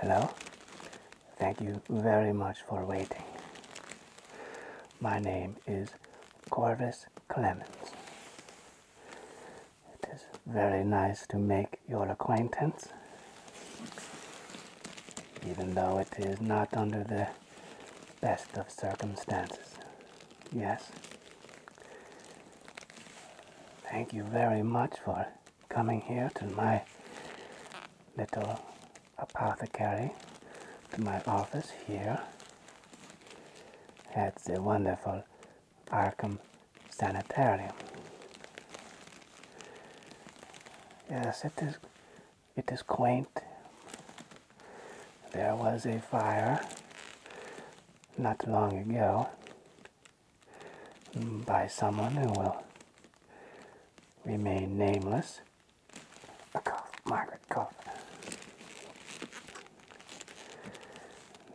Hello? Thank you very much for waiting. My name is Corvus Clemens. It is very nice to make your acquaintance even though it is not under the best of circumstances. Yes. Thank you very much for coming here to my little apothecary, to my office here at the wonderful Arkham Sanitarium. Yes, it is, it is quaint. There was a fire not long ago by someone who will remain nameless. A Margaret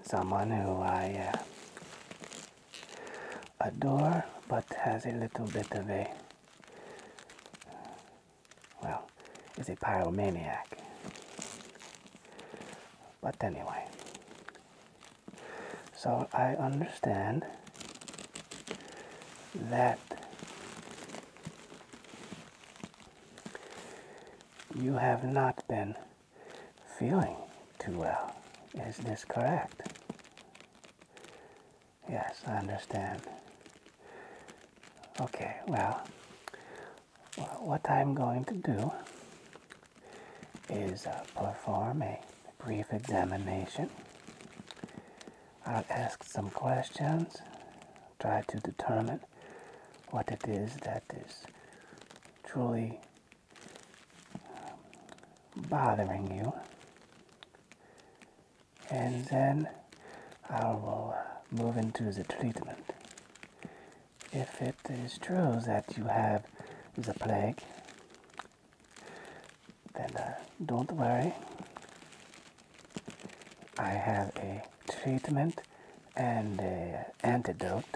Someone who I uh, a door but has a little bit of a well is a pyromaniac but anyway so i understand that you have not been feeling too well is this correct Yes, I understand. Okay, well, what I'm going to do is uh, perform a brief examination. I'll ask some questions, try to determine what it is that is truly bothering you, and then I will move into the treatment. If it is true that you have the plague, then uh, don't worry. I have a treatment and a antidote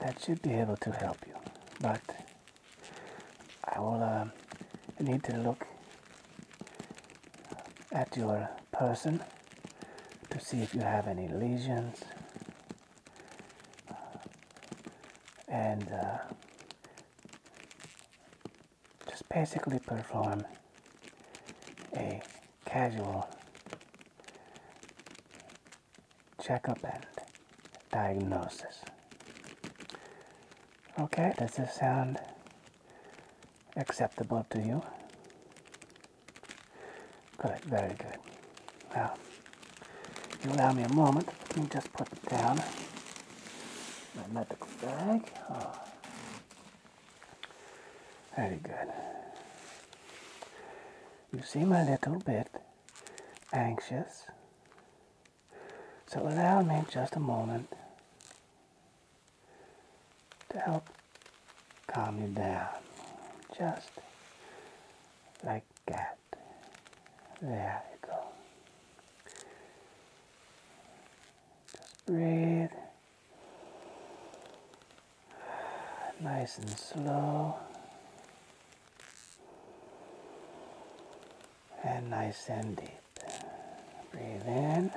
that should be able to help you. But I will uh, need to look at your person to see if you have any lesions uh, and uh, just basically perform a casual checkup and diagnosis. Okay, does this sound acceptable to you? Good, very good. Well, you allow me a moment. Let me just put it down my medical bag. Oh. Very good. You seem a little bit anxious. So allow me just a moment to help calm you down. Just like that. There you go. Just breathe. Nice and slow. And nice and deep. Breathe in.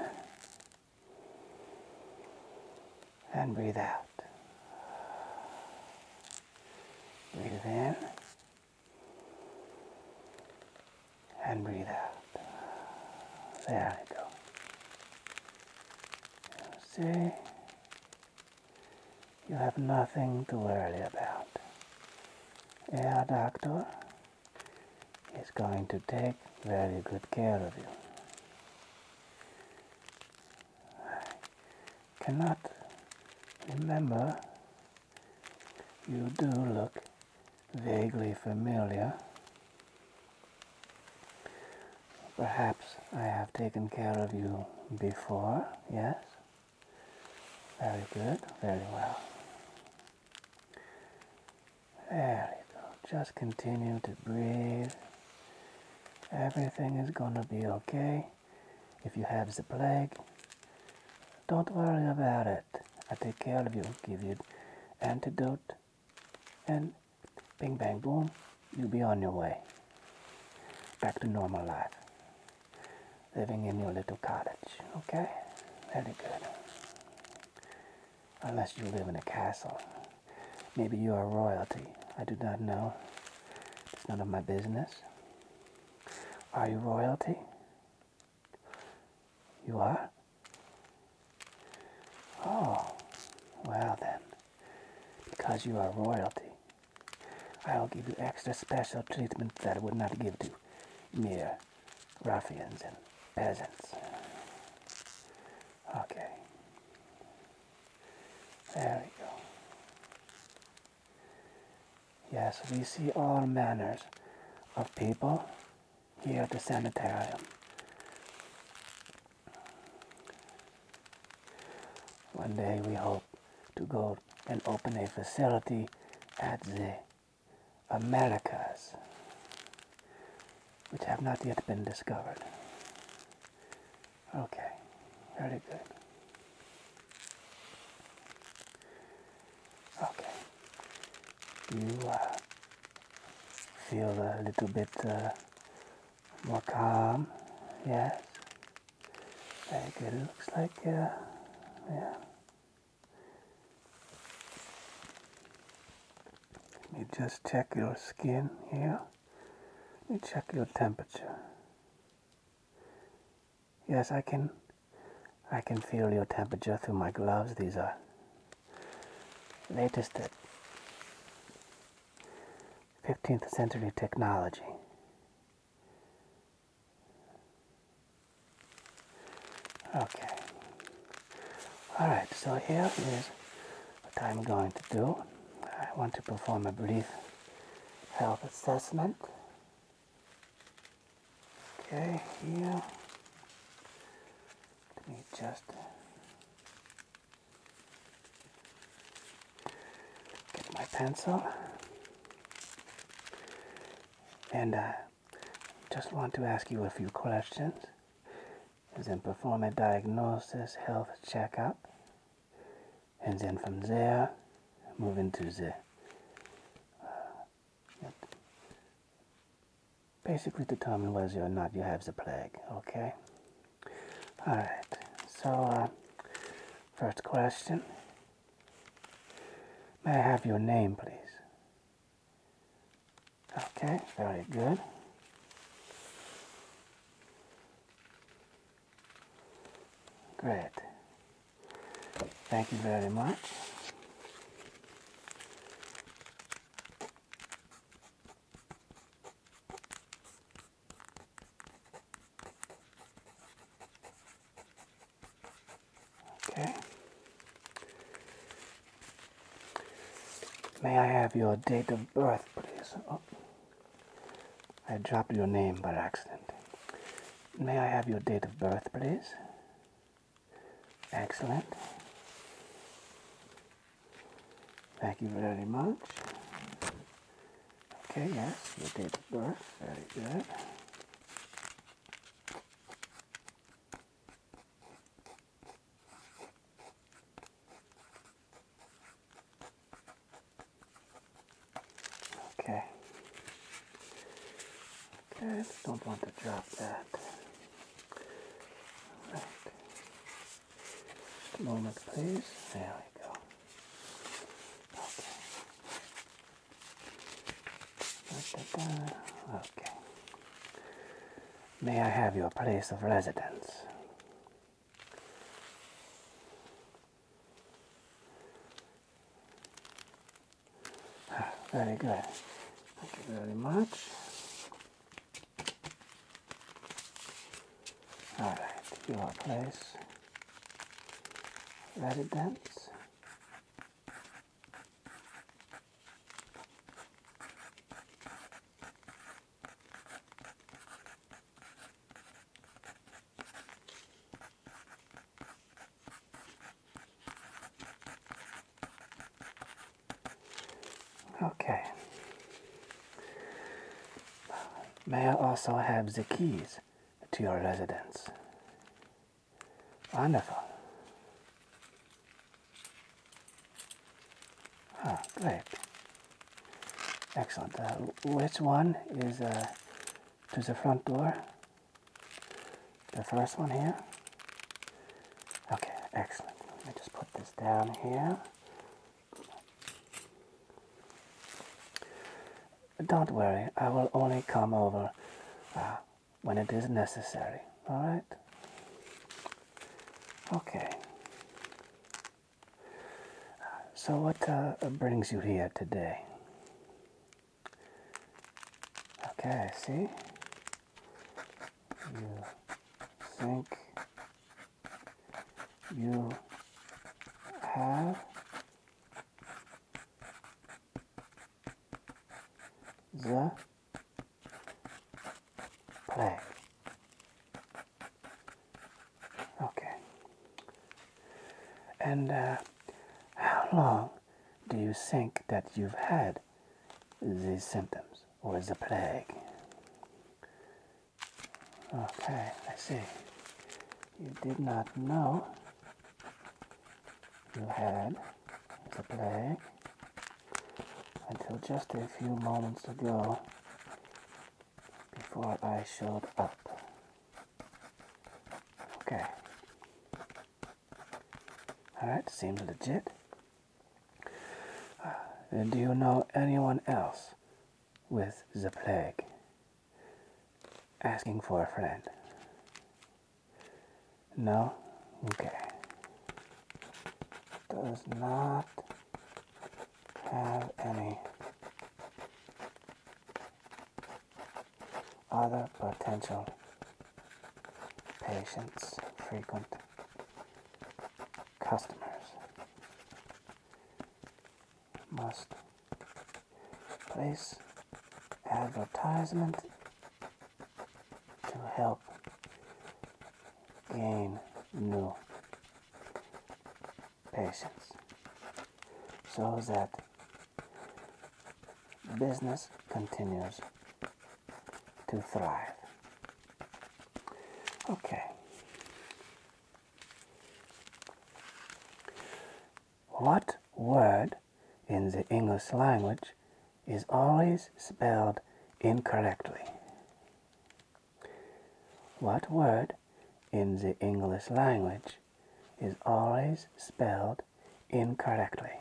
And breathe out. Breathe in. And breathe out. There we go. See? You have nothing to worry about. Our doctor is going to take very good care of you. I cannot remember. You do look vaguely familiar. Perhaps I have taken care of you before, yes? Very good, very well. There you go. Just continue to breathe. Everything is gonna be okay. If you have the plague, don't worry about it. I take care of you, give you antidote, and ping, bang boom, you'll be on your way. Back to normal life living in your little cottage, okay? Very good. Unless you live in a castle. Maybe you are royalty. I do not know. It's none of my business. Are you royalty? You are? Oh, well then, because you are royalty, I'll give you extra special treatment that I would not give to mere ruffians and peasants. Okay. There we go. Yes, we see all manners of people here at the sanitarium. One day we hope to go and open a facility at the Americas, which have not yet been discovered. Okay, very good. Okay, you uh, feel a little bit uh, more calm, yes? Very looks like, uh, yeah. Let me just check your skin here. Let me check your temperature. Yes, I can. I can feel your temperature through my gloves. These are latest 15th century technology. Okay. Alright, so here is what I'm going to do. I want to perform a brief health assessment. Okay, here. Let me just get my pencil and I uh, just want to ask you a few questions and then perform a diagnosis health checkup and then from there move into the uh, basically determine whether or not you have the plague okay all right so uh, first question May I have your name, please? Okay, very good. Great. Thank you very much. Okay. May I have your date of birth, please? Oh. I dropped your name by accident. May I have your date of birth, please? Excellent. Thank you very much. Okay, yes, date of birth. Very good. Okay. I just Don't want to drop that. All right. Just a moment, please. There we go. Okay. Okay. May I have your place of residence? Ah, very good. Thank you very much. All right, your place, residence. Okay. May I also have the keys to your residence? Wonderful. Ah, great. Excellent. Uh, which one is uh, to the front door? The first one here? Okay, excellent. Let me just put this down here. Don't worry, I will only come over uh, when it is necessary, alright? Okay. So, what uh, brings you here today? Okay, see? You think you have the plague. Okay. And uh, how long do you think that you've had these symptoms or the plague? Okay, I see. You did not know you had the plague until just a few moments ago before I showed up. Okay. Alright, seems legit. do you know anyone else with the plague? Asking for a friend. No? Okay. Does not have any other potential patients, frequent customers must place advertisement to help gain new patients so that business continues to thrive. Okay. What word in the English language is always spelled incorrectly. What word in the English language is always spelled incorrectly?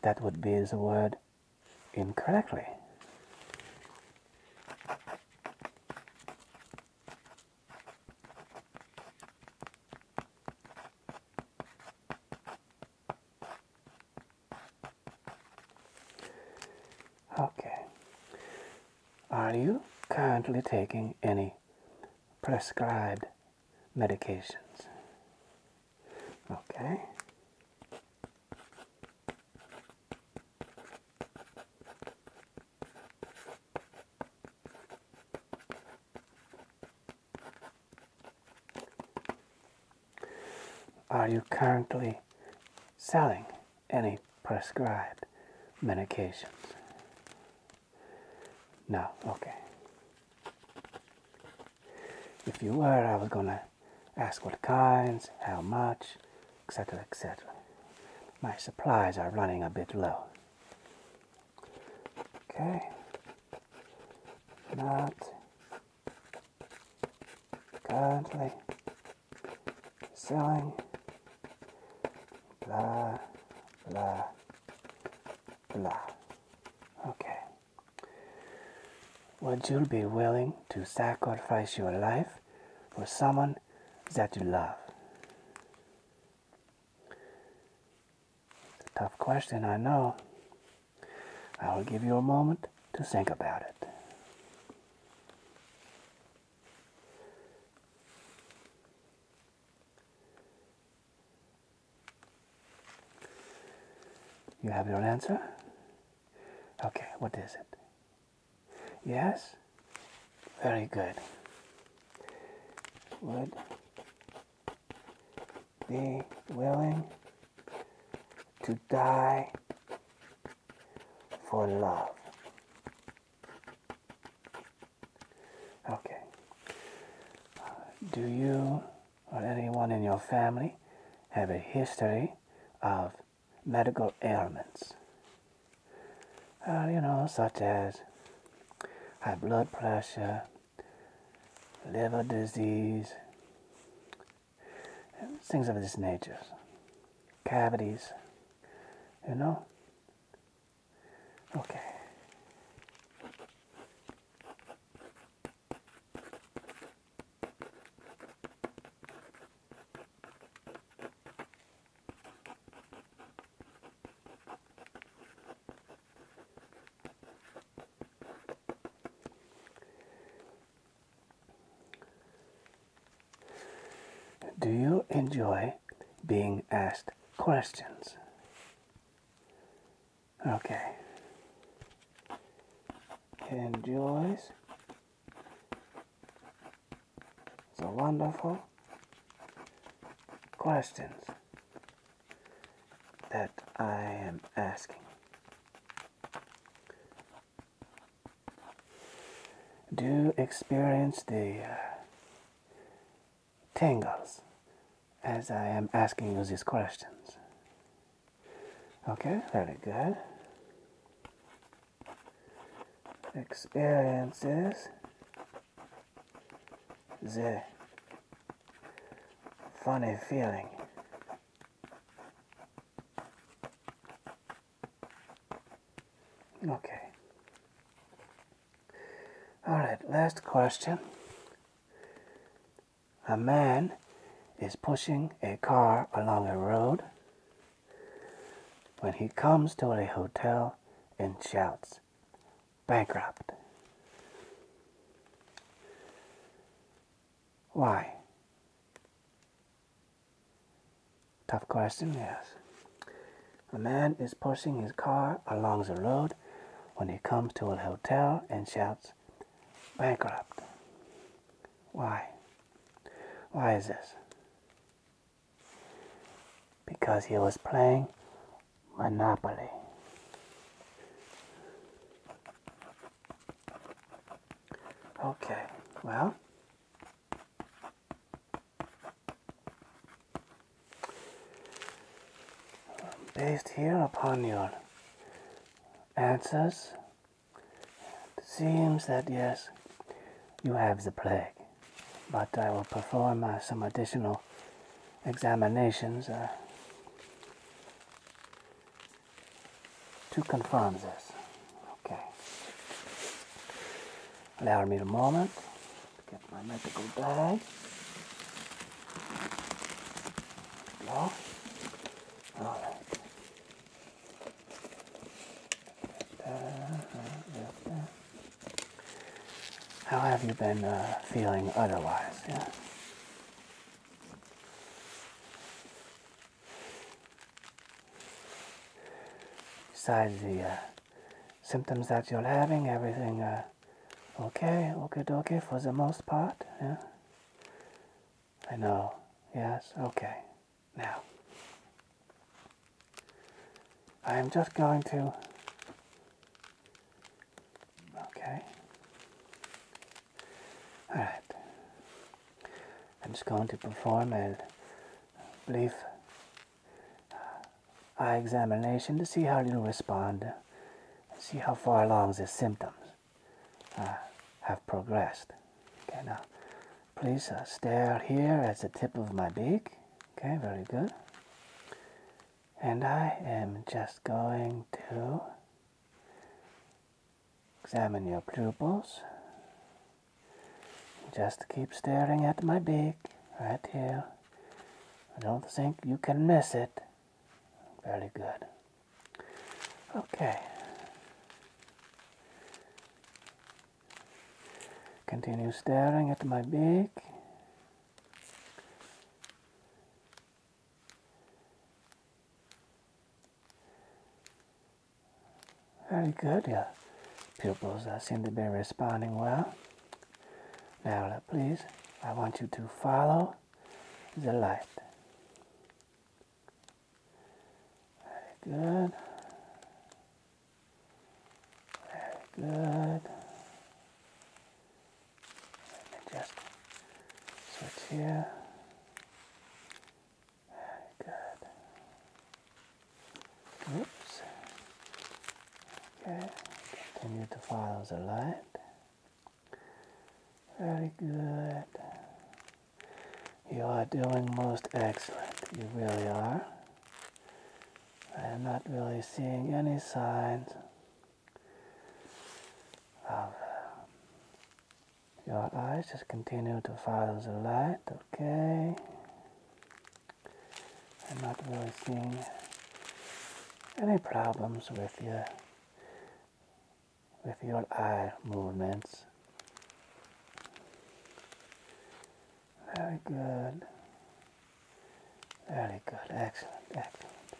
That would be the word incorrectly. Okay. Are you currently taking any prescribed medications? Okay. Are you currently selling any prescribed medications? No, okay. If you were, I was gonna ask what kinds, how much, etc., etc. My supplies are running a bit low. Okay. Not godly selling. Blah, blah, blah. Okay. Would you be willing to sacrifice your life for someone that you love? It's a tough question, I know. I will give you a moment to think about it. You have your answer? Okay, what is it? Yes? Very good. Would be willing to die for love. Okay. do you or anyone in your family have a history of medical ailments? Uh, you know, such as high blood pressure, liver disease, things of this nature, cavities, you know? Okay. Do you enjoy being asked questions? Okay. Enjoys the wonderful questions that I am asking. Do experience the tangles as I am asking you these questions? Okay, very good. Experiences is the funny feeling. Okay. All right, last question. A man is pushing a car along a road when he comes to a hotel and shouts, bankrupt. Why? Tough question, yes. A man is pushing his car along the road when he comes to a hotel and shouts, bankrupt. Why? Why is this? because he was playing Monopoly. Okay, well, based here upon your answers, it seems that yes, you have the plague but I will perform uh, some additional examinations uh, to confirm this. Okay. Allow me a moment to get my medical bag. Go. All right. There, uh-huh, how have you been uh, feeling otherwise? Yeah. Besides the uh, symptoms that you're having, everything uh, okay, okay, okay for the most part. Yeah. I know. Yes. Okay. Now, I am just going to. Okay. Alright. I'm just going to perform a brief uh, eye examination to see how you respond and see how far along the symptoms uh, have progressed. Okay, now please uh, stare here at the tip of my beak. Okay, very good. And I am just going to examine your pupils. Just keep staring at my beak right here. I don't think you can miss it. Very good. Okay. Continue staring at my beak. Very good, your pupils seem to be responding well. Now, uh, please, I want you to follow the light. Very good. Very good. just switch here. Very good. Oops. Okay, continue to follow the light. Very good. You are doing most excellent. You really are. I am not really seeing any signs of your eyes. Just continue to follow the light, okay? I'm not really seeing any problems with your with your eye movements. Very good. Very good. Excellent. Excellent.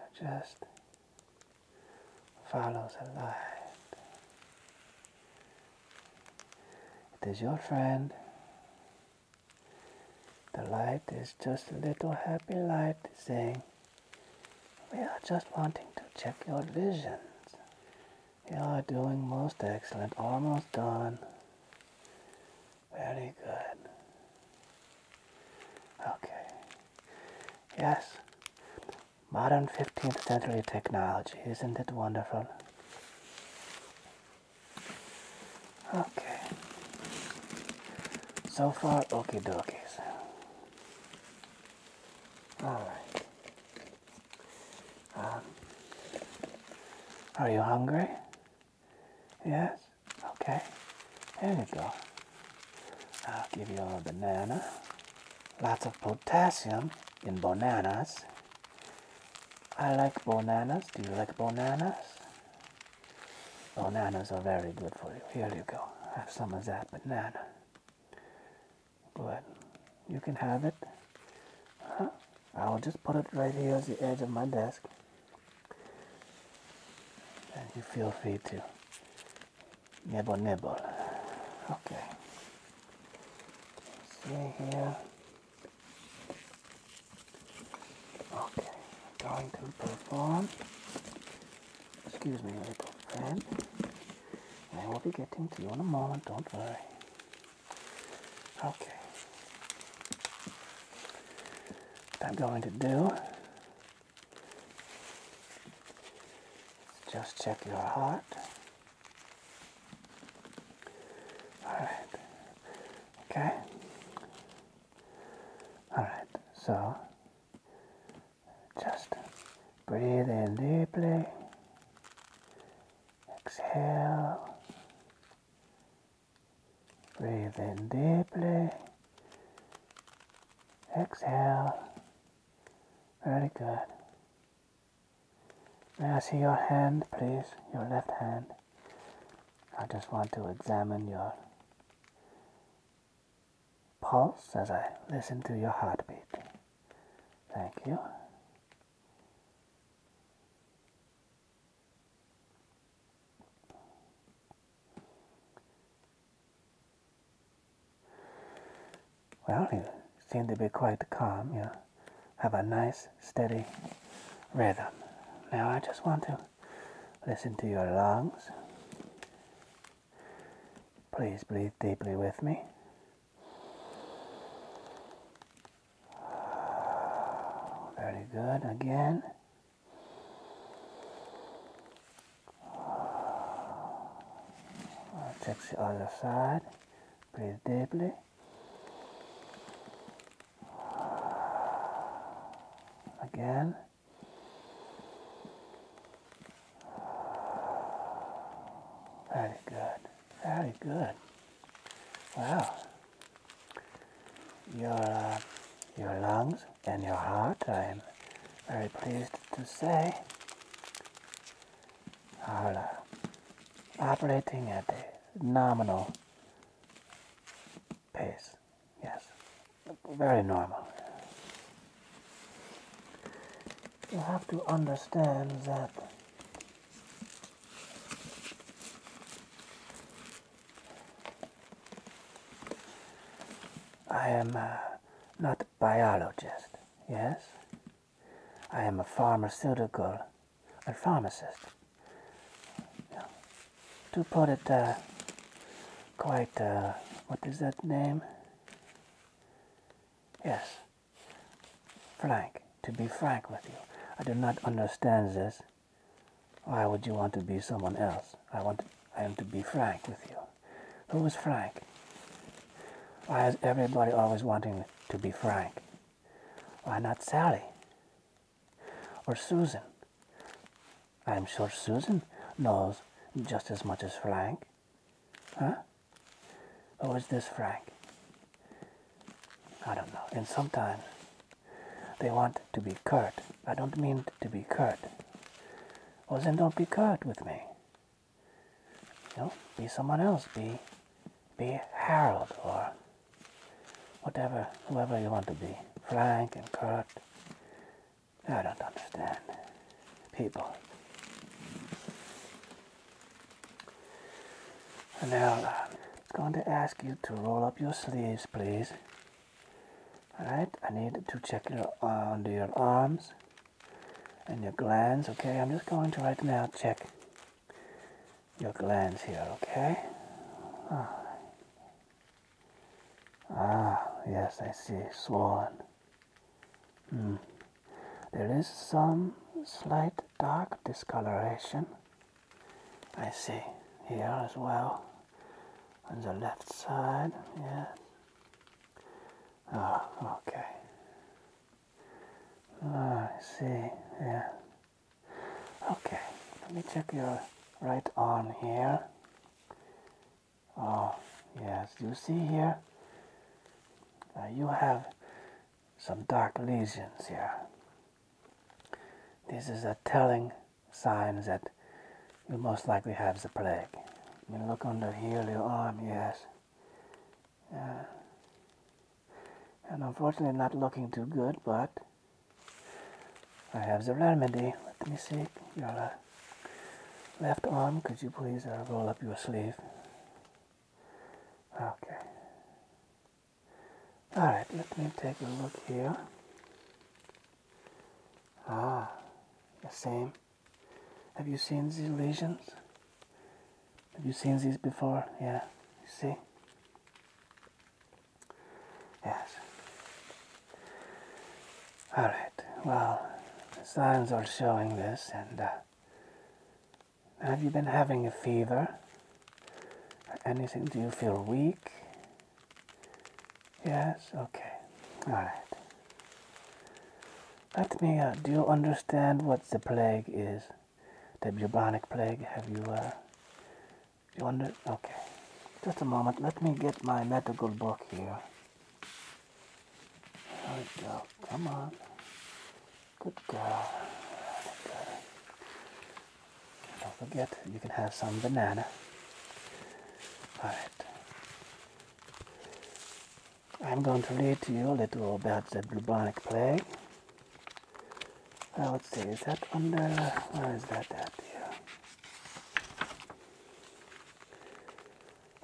It just follows the light. It is your friend. The light is just a little happy light saying, we are just wanting to check your visions. You are doing most excellent, almost done. Very good. Okay. Yes. Modern 15th century technology. Isn't it wonderful? Okay. So far, okie dokies. Alright. Um, are you hungry? Yes? Okay. There you go. I'll give you a banana. Lots of potassium in bananas. I like bananas. Do you like bananas? Bananas are very good for you. Here you go. Have some of that banana. Good. You can have it. -huh. I will just put it right here at the edge of my desk. And you feel free to nibble nibble. Okay. See here. Okay, going to perform. Excuse me, little friend. I will be getting to you in a moment, don't worry. Okay. What I'm going to do just check your heart. Alright. Okay. Alright, so just breathe in deeply. Exhale. Breathe in deeply. Exhale. Very good. May I see your hand, please? Your left hand. I just want to examine your pulse as I listen to your heartbeat. Thank you. Well, you seem to be quite calm. You have a nice, steady rhythm. Now I just want to listen to your lungs. Please breathe deeply with me. Very good. Again. Check the other side. Breathe deeply. Again. Very good. Very good. Wow your uh, your lungs and your heart. I am very pleased to say are uh, operating at a nominal pace. Yes, very normal. You have to understand that I am uh, not a biologist, yes? I am a pharmaceutical, a pharmacist. To put it uh, quite, uh, what is that name? Yes, frank, to be frank with you. I do not understand this why would you want to be someone else? I want to, I am to be frank with you. Who is Frank? Why is everybody always wanting to be Frank? Why not Sally? Or Susan? I'm sure Susan knows just as much as Frank. Huh? Who is this Frank? I don't know. And sometimes they want to be curt. I don't mean to be curt. Well, then don't be curt with me. You know, be someone else. Be, be Harold or whatever, whoever you want to be. Frank and curt. I don't understand. People. Now, I'm going to ask you to roll up your sleeves, please. Alright, I need to check your, uh, under your arms and your glands, okay? I'm just going to right now check your glands here, okay? Ah, ah yes, I see, swollen. Hmm. There is some slight dark discoloration I see here as well on the left side, yeah. Oh, okay. Oh, I see, yeah. Okay, let me check your right arm here. Oh, yes, you see here? Uh, you have some dark lesions here. This is a telling signs that you most likely have the plague. You look under here, your arm, yes. and unfortunately not looking too good, but I have the remedy. Let me see your uh, left arm. Could you please uh, roll up your sleeve? Okay. Alright, let me take a look here. Ah, the same. Have you seen these lesions? Have you seen these before? Yeah, you see? Yes. Alright, well, the signs are showing this, and uh, have you been having a fever? Anything? Do you feel weak? Yes, okay. Alright. Let me, uh, do you understand what the plague is? The bubonic plague? Have you, uh, you under, okay. Just a moment, let me get my medical book here. There we go, come on. Good girl. Good girl don't forget, you can have some banana. Alright. I'm going to read to you a little about the bubonic plague. Well, uh, let's see, is that under, where is that at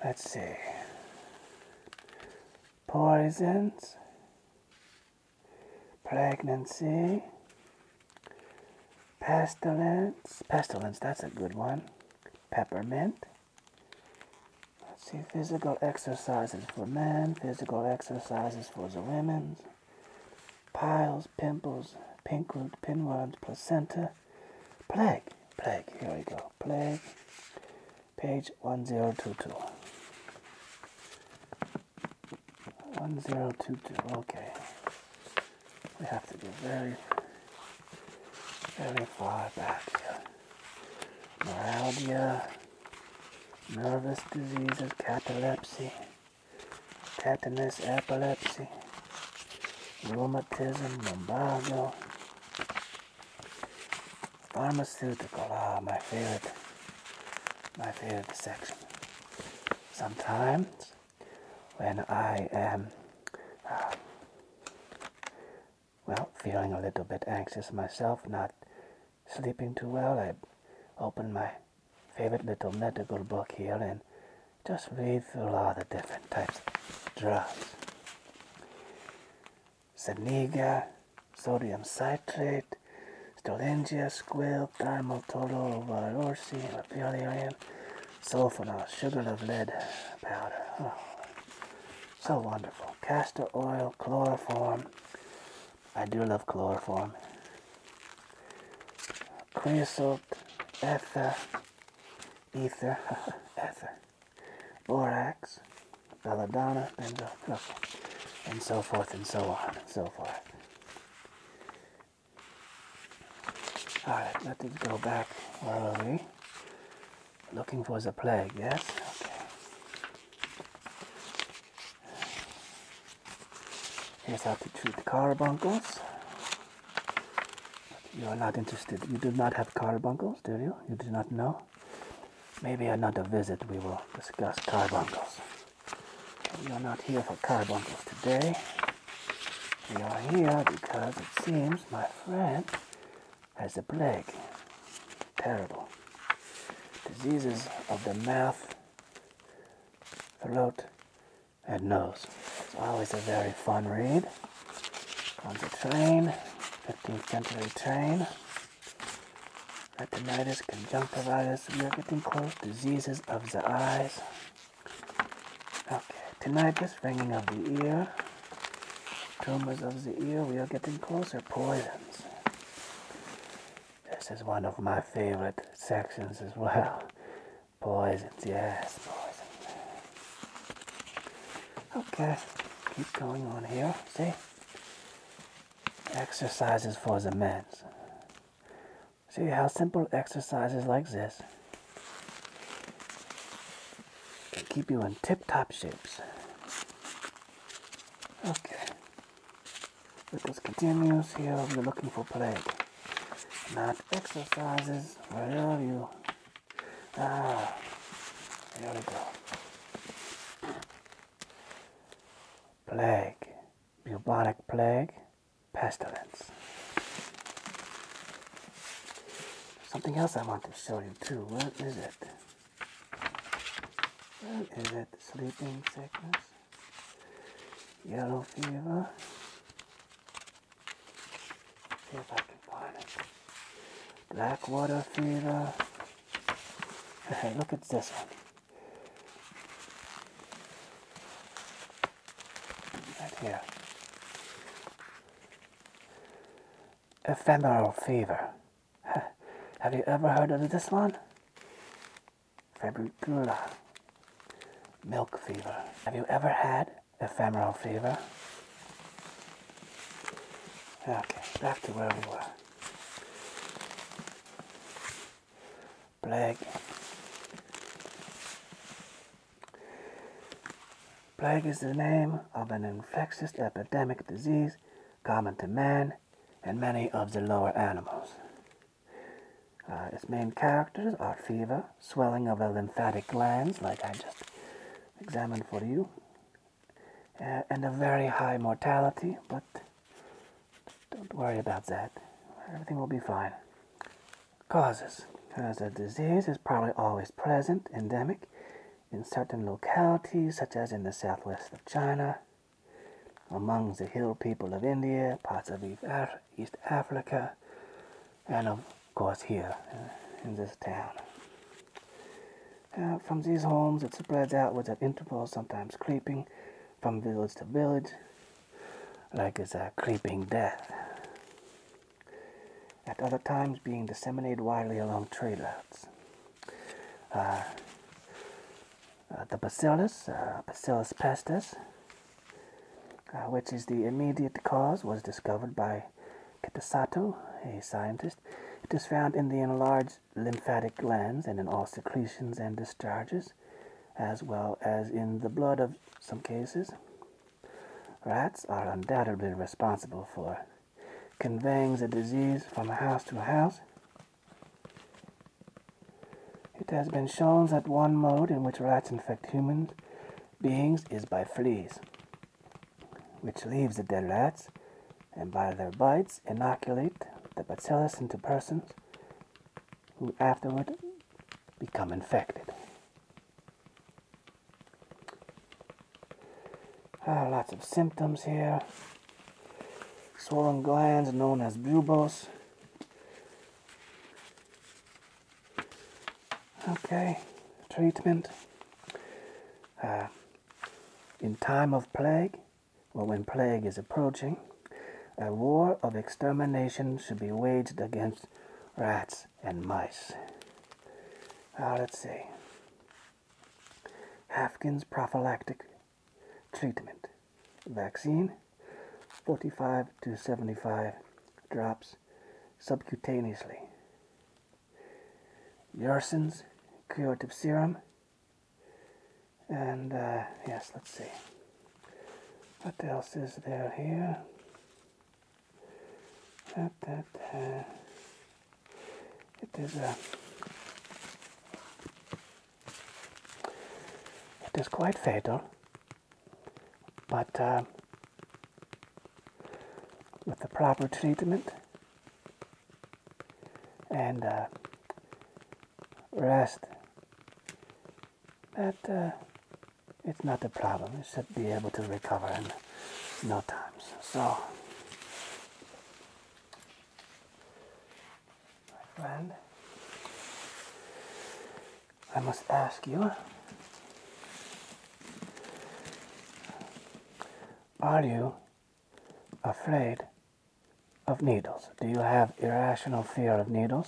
Let's see. Poisons, pregnancy, pestilence, pestilence, that's a good one, peppermint. Let's see, physical exercises for men, physical exercises for the women, piles, pimples, pink root, pinworms, placenta, plague, plague, here we go, plague, page 1022. One zero two two. Okay, we have to go very, very far back here. Neuralgia, nervous diseases, catalepsy, tetanus, epilepsy, rheumatism, lumbago, pharmaceutical. Ah, my favorite, my favorite section. Sometimes when I am uh, well feeling a little bit anxious myself, not sleeping too well, I open my favorite little medical book here and just read through all the different types of drugs. Zaniga, sodium citrate, Stolengia, squil, thymol, tolo, valorsi, uh, lapiolion, sulfonol, sugar of lead powder. Oh, so wonderful. Castor oil, chloroform. I do love chloroform. Creosote, ether, ether, ether, borax, belladonna, benzo, uh, and so forth and so on and so forth. Alright, let it go back. Where are we? Looking for the plague, yes? Okay. Here's how to treat carbuncles. You are not interested. You do not have carbuncles, do you? You do not know? Maybe another visit we will discuss carbuncles. We are not here for carbuncles today. We are here because it seems my friend has the plague. Terrible. Diseases of the mouth, throat, and nose. It's always a very fun read. On the train, 15th century train. Retinitis, conjunctivitis, we are getting close. Diseases of the eyes. Okay, tonight tinnitus, ringing of the ear, tumors of the ear, we are getting closer, poisons. This is one of my favorite sections as well. Poisons, yes, Poisons. Okay, keep going on here, see? Exercises for the men. See how simple exercises like this can keep you in tip-top shapes. Okay. Let us continue. See how are looking for plague. Not exercises. Where are you? Ah. Here we go. Plague. Bubonic plague pestilence. Something else I want to show you too. What is it? Is What is it? Sleeping sickness? Yellow fever? See if I can find it. Black water fever. Look at this one. Right here. Ephemeral fever. Have you ever heard of this one? Februcula. Milk fever. Have you ever had ephemeral fever? Okay, back to where we were. Plague. Plague is the name of an infectious epidemic disease common to man and many of the lower animals. Uh, its main characters are fever, swelling of the lymphatic glands, like I just examined for you, and a very high mortality, but don't worry about that. Everything will be fine. Causes. Because a disease is probably always present, endemic, in certain localities, such as in the southwest of China, among the hill people of India, parts of East Africa, and of course here uh, in this town. Uh, from these homes, it spreads outwards at intervals, sometimes creeping from village to village, like as a creeping death. At other times, being disseminated widely along trailers. Uh, uh, the bacillus, uh, bacillus pestis, uh, which is the immediate cause, was discovered by Kitasato, a scientist. It is found in the enlarged lymphatic glands and in all secretions and discharges as well as in the blood of some cases. Rats are undoubtedly responsible for conveying the disease from a house to a house. It has been shown that one mode in which rats infect human beings is by fleas, which leaves the dead rats and by their bites inoculate the bacillus into persons who afterward become infected. Uh, lots of symptoms here. Swollen glands known as bulbos. Okay, treatment. Uh, in time of plague, or when plague is approaching, a war of extermination should be waged against rats and mice. Uh, let's see. Hafkin's prophylactic treatment. Vaccine 45 to 75 drops subcutaneously. Yersin's curative serum. And uh, yes, let's see. What else is there here? it is uh, It is quite fatal, but uh, with the proper treatment and uh, rest but uh, it's not a problem. You should be able to recover in no time. So, my friend, I must ask you. Are you afraid of needles? Do you have irrational fear of needles?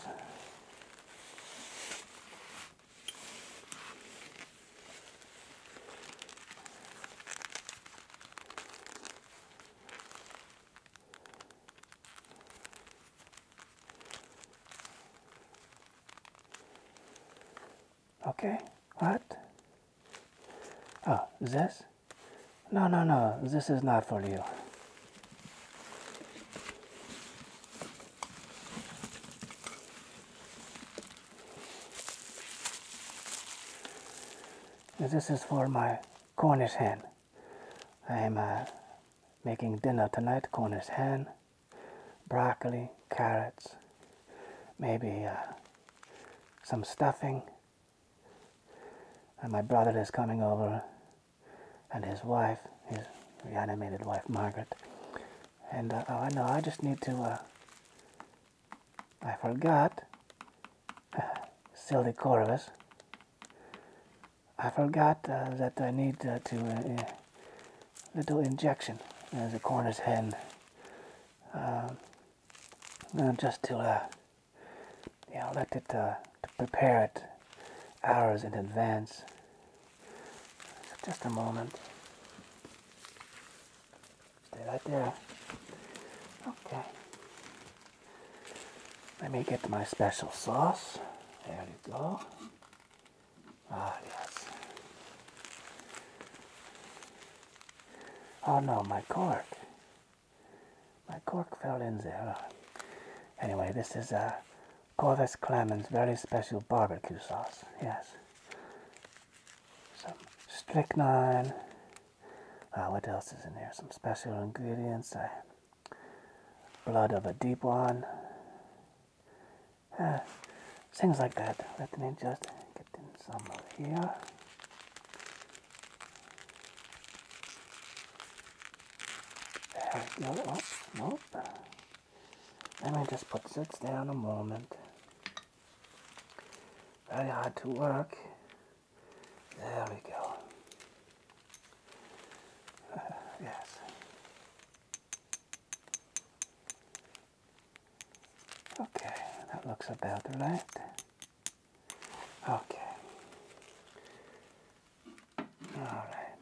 Okay, what? Oh, this? No, no, no, this is not for you. This is for my Cornish hen. I am uh, making dinner tonight, Cornish hen, broccoli, carrots, maybe uh, some stuffing. And my brother is coming over and his wife, his reanimated wife Margaret. And uh, oh, I know, I just need to. Uh, I forgot. Sylvie Corbus. I forgot uh, that I need to a eh, little injection as a corner's hen, um, just to you know let it to prepare it hours in advance. Just a moment. Stay right there. Okay. Let me get my special sauce. There we go. Ah, yes. Oh no, my cork. My cork fell in there. Anyway, this is a Corvus Clemens very special barbecue sauce. Yes. Some strychnine. Uh, what else is in there? Some special ingredients. blood of a deep one. Ah, things like that. Let me just get in some of here. There we let me just put this down a moment. Very hard to work. There we go. yes. Okay, that looks about right. Okay. Alright.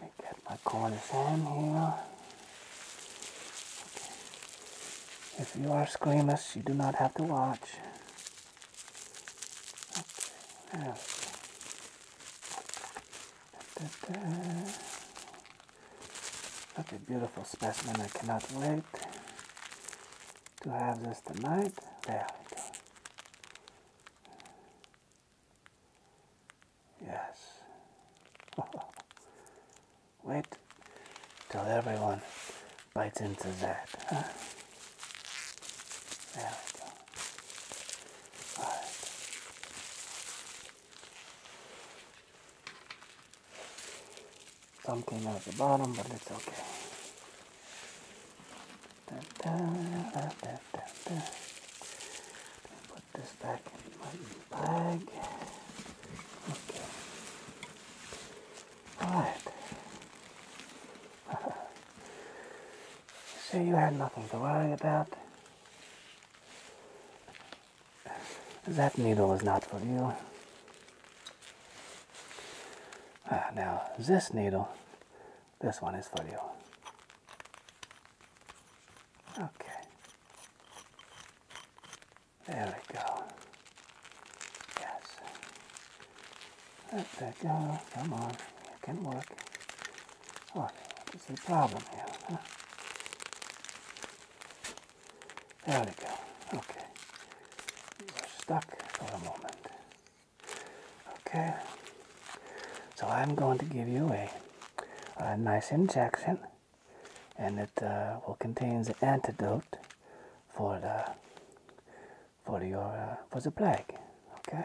Let me get my corners in here. If you are squeamish, you do not have to watch. Okay, there we go. Such a beautiful specimen, I cannot wait to have this tonight. There we Yes. Wait till everyone bites into that. Huh? There we go. All right. Some the bottom, but it's okay. Put this back in my bag. Okay. Alright. so you had nothing to worry about. That needle is not for you. Ah, now, this needle, this one is for you. Okay. There we go. Yes. Let that go. Come on. It can work. What is the problem here? There we go. Okay. We're stuck for a moment. Okay, so I'm going to give you a, nice injection, and it uh, will contain the antidote for the for your uh, for the plague. Okay,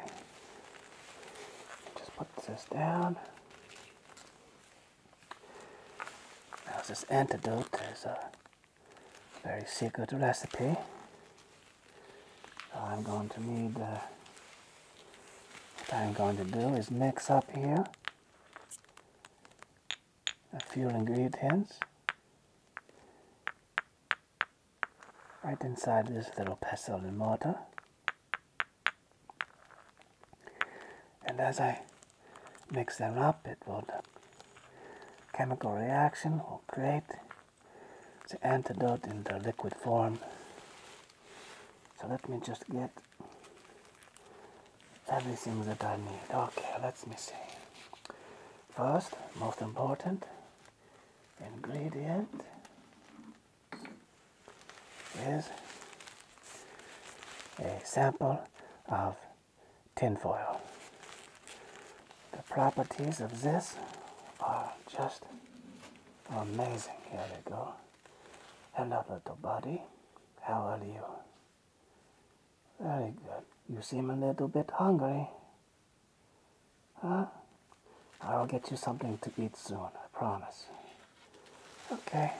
just put this down. Now this antidote is a very secret recipe. So I'm going to need, what I'm going to do is mix up here a few ingredients right inside this little pestle and mortar. And as I mix them up, it will, chemical reaction will create the antidote in the liquid form. So let me just get everything that I need. Okay, let me see. First, most important ingredient is a sample of tinfoil. The properties of this are just Amazing. Here we go. Hello, little buddy. How are you? Very good. You seem a little bit hungry. Huh? I'll get you something to eat soon, I promise. Okay.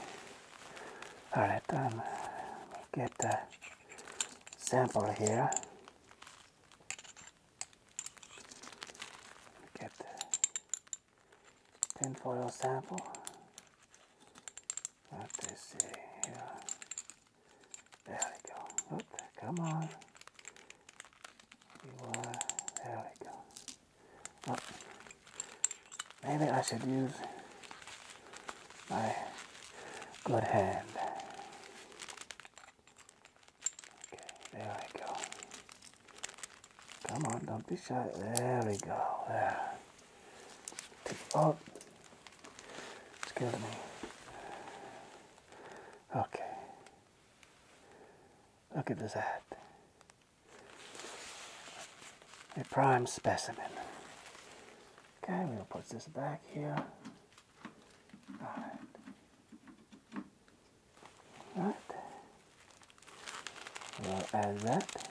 Alright, Then let me get a sample here. Get the pin foil sample. Let me see here. There we go. come on. There we go. maybe I should use my good hand. Okay, there we go. Come on, don't be shy. There we go. There. Tip up. Excuse me. Okay. Look at this hat. A prime specimen. Okay, we'll put this back here. Alright. Right. We'll add that.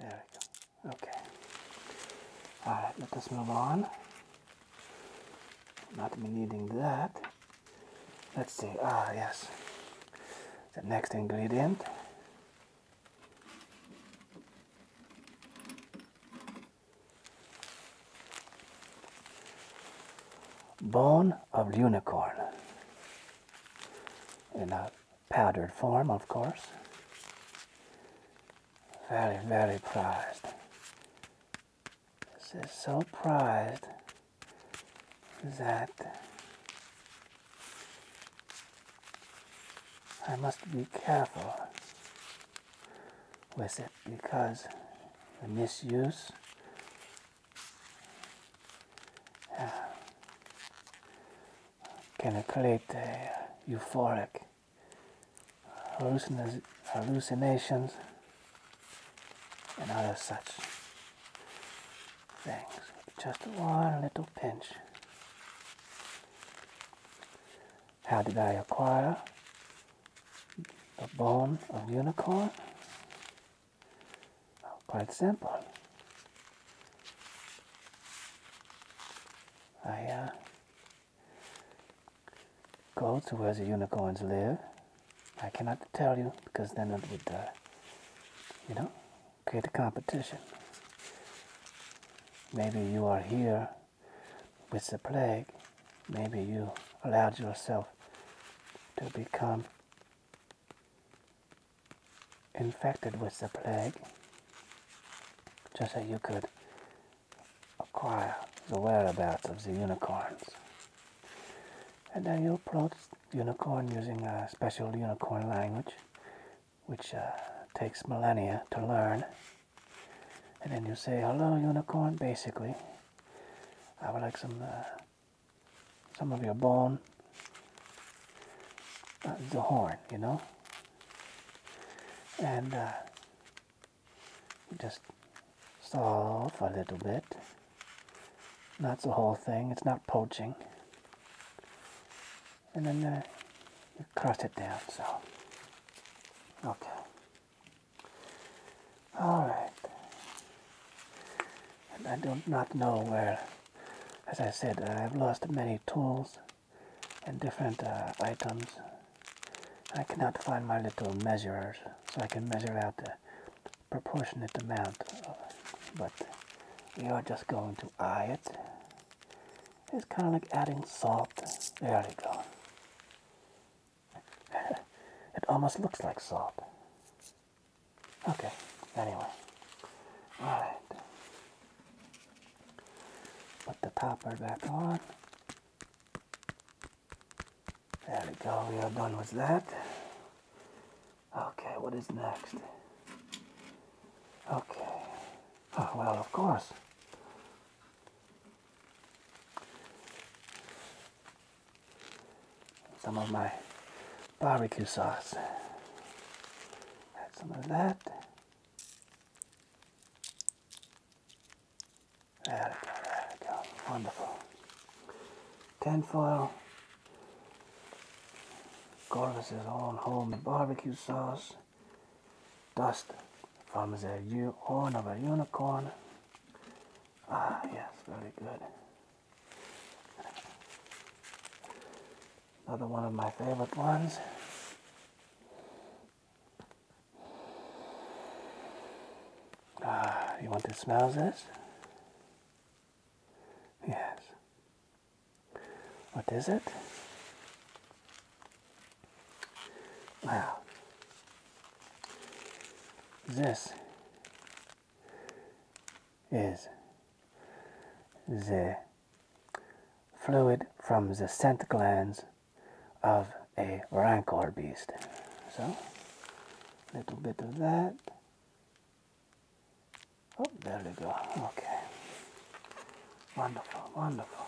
There we go. Okay. Alright, let us move on. Not needing that. Let's see. Ah, yes. The next ingredient Bone of unicorn in a powdered form, of course. Very, very prized. This is so prized that I must be careful with it because the misuse uh, can create euphoric hallucinations and other such things with just one little pinch. How did I acquire the bone of unicorn? quite simple. I uh, go to where the unicorns live. I cannot tell you because then it would, uh, you know, good competition. Maybe you are here with the plague. Maybe you allowed yourself to become infected with the plague just so you could acquire the whereabouts of the unicorns. And then you approach unicorn using a special unicorn language which uh, takes millennia to learn. And then you say, hello, unicorn, basically. I would like some, uh, some of your bone, uh, the horn, you know? And just solve a little bit. That's the whole thing, it's not poaching and then uh, you cross it down. So, okay. Alright. And I do not know where, as I said, I've lost many tools and different uh, items. I cannot find my little measurers, so I can measure out the proportionate amount. but we are just going to eye it. It's kind of like adding salt. There we go. it almost looks like salt. Okay, anyway. Alright. Put the topper back on. There we go, we are done with that. Okay, what is next? Okay. Oh, well, of course. Some of my barbecue sauce. Add some of that. There we go, there we go. Wonderful. Tinfoil Corvus's own home barbecue sauce, dust from the new horn of a unicorn. Ah, yes, very good. Another one of my favorite ones. Ah, you want to smell this? Yes. What is it? Wow. This is the fluid from the scent glands of a rancor beast. So, a little bit of that, Oh, there we go. Okay. Wonderful, wonderful.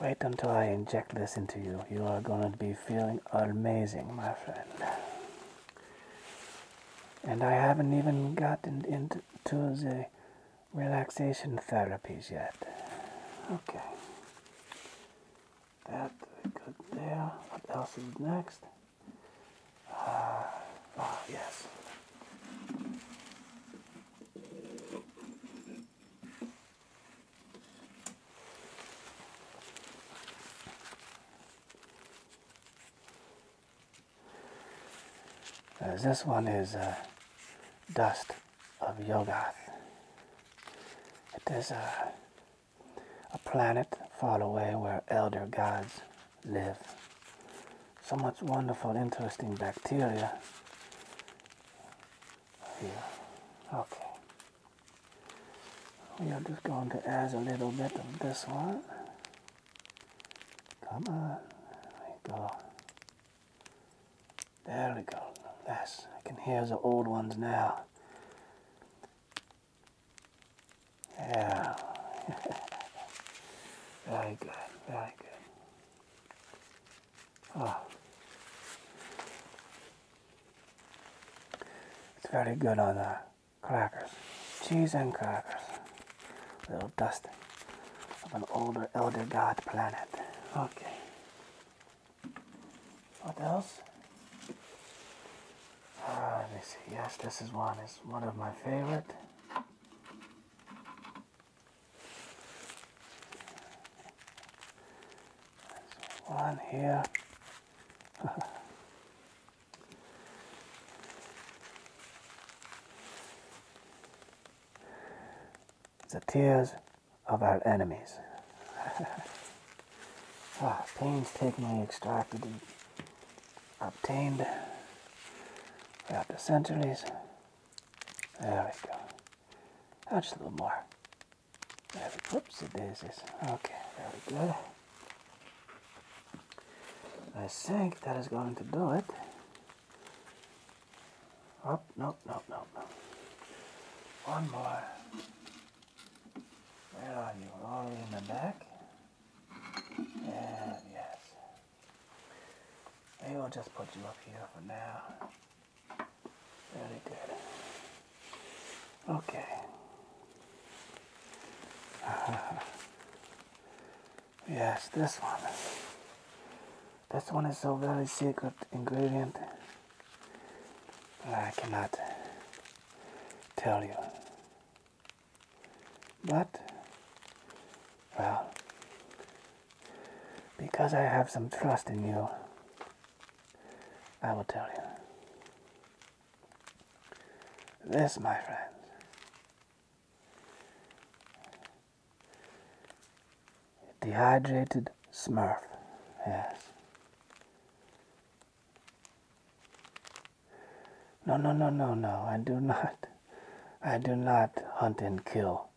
Wait until I inject this into you. You are going to be feeling amazing, my friend. And I haven't even gotten into the relaxation therapies yet. Okay. that's good there. What else is next? Ah, yes. Uh, this one is uh, dust of Yogath. It is uh, a planet far away where elder gods live. So much wonderful, interesting bacteria here. Okay. We are just going to add a little bit of this one. Come on. There we go. There we go. Yes, I can hear the old ones now. Yeah. very good, very good. Oh. It's very good on the crackers. Cheese and crackers. little dust of an older elder god planet. Okay. What else? Uh, let me see. Yes, this is one. It's one of my favorite. There's one here. the tears of our enemies. ah, me extracted obtained. We have the centuries. There we go. Oh, just a little more. There Oops, the daisies. Okay, there we go. I think that is going to do it. Up, oh, no, no, no, no. One more. Where are you? All in the back. And yes. Maybe I'll just put you up here for now. Very good. Okay. yes, this one. This one is a very secret ingredient. I cannot tell you. But, well, because I have some trust in you, I will tell you. This, my friends, dehydrated smurf, yes. No, no, no, no, no. I do not. I do not hunt and kill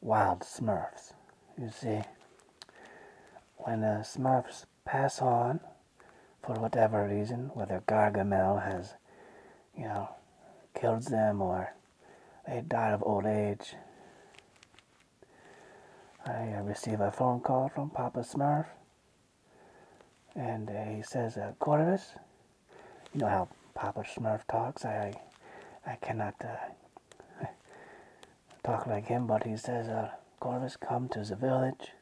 wild smurfs. You see, when the smurfs pass on, for whatever reason, whether Gargamel has, you know, killed them or they died of old age, I receive a phone call from Papa Smurf and uh, he says, uh, you know how Papa Smurf talks. I, I, cannot uh, talk like him, but he says, uh, come to the village.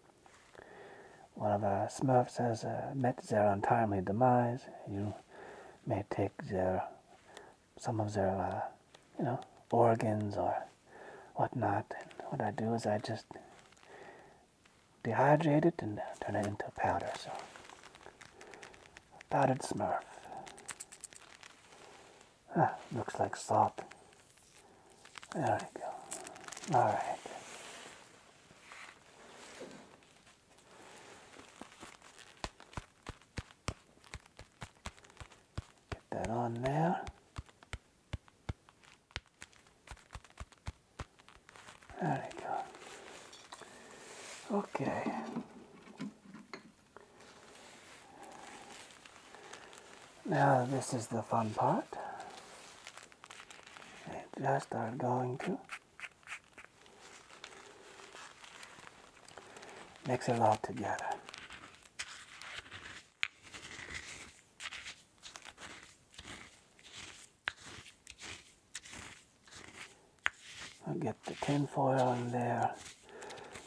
One of the uh, Smurfs has met their untimely demise. You may take their, some of their, you know, organs or whatnot. And what I do is I just dehydrate it and turn it into powder. So, powdered smurf. Ah, looks like salt. There we go. Alright. Get that on there. There we go. Okay. Now this is the fun part. just are going to mix it all together. I'll get the tin foil in there.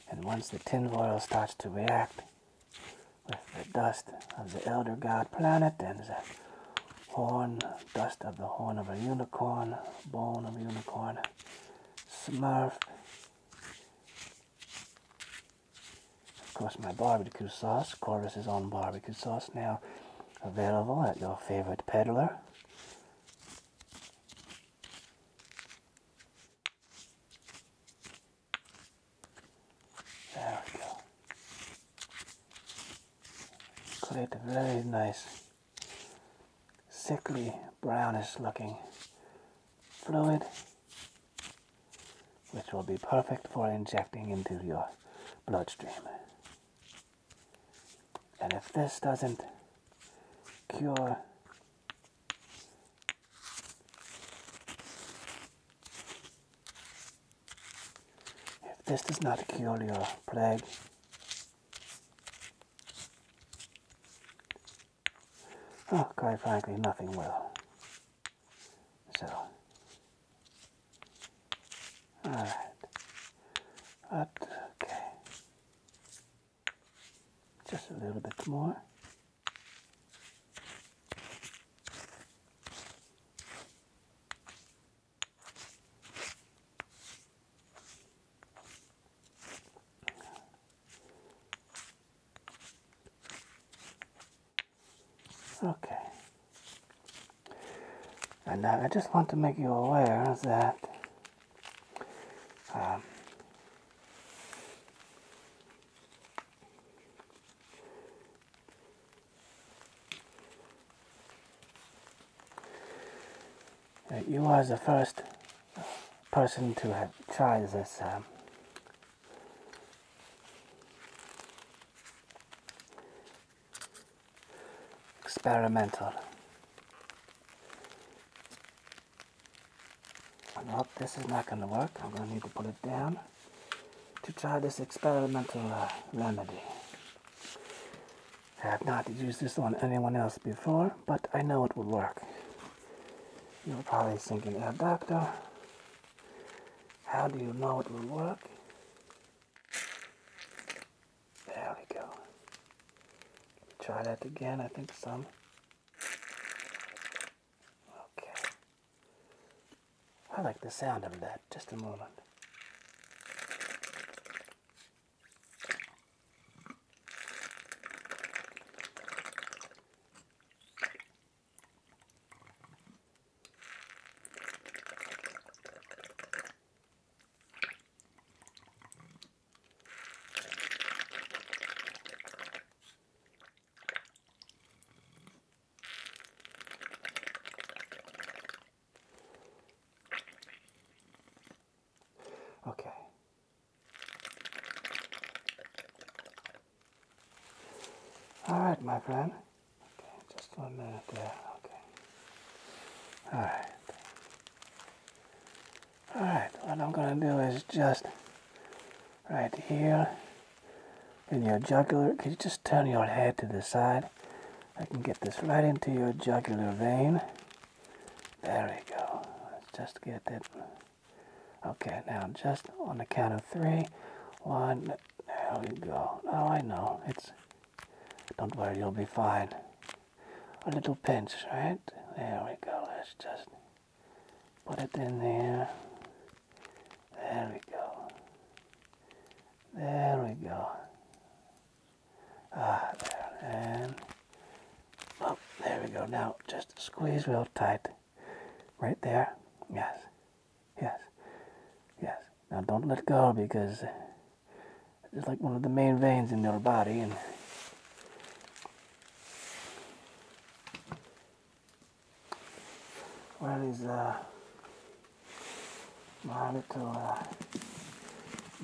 And once the tin foil starts to react with the dust of the Elder God planet and the horn, dust of the horn of a unicorn, bone of a unicorn, smurf. Of course, my barbecue sauce. Corvus is on barbecue sauce now available at your favorite peddler. There we go. Create very nice, sickly, brownish looking fluid, which will be perfect for injecting into your bloodstream. And if this doesn't cure if this does not cure your plague, oh, quite frankly, nothing will. So, all right. okay. Just a little bit more. Okay. And uh, I just want to make you aware um, that you are the first person to have tried this um, experimental. Nope, this is not going to work. I'm going to need to put it down to try this experimental uh, remedy. I have not used this on anyone else before, but I know it will work. You're probably thinking, oh, doctor, how do you know it will work? There we go. Try that again, I think some. Okay. I like the sound of that, just a moment. Okay. All right, my friend. Okay, just one minute there. Okay. Alright. Alright, what I'm going to do is just right here in your jugular. Can you just turn your head to the side? I can get this right into your jugular vein. There we go. Let's just get it. Okay, now just on the count of three. One, there we go. Oh, I know. It's don't worry, you'll be fine. A little pinch, right? There we go. Let's just put it in there. There we go. There we go. Ah, there. And oh, there we go. Now just squeeze real tight. Right there. Yes. Yes. Yes. Now don't let go because it's like one of the main veins in your body and where is uh, my little uh,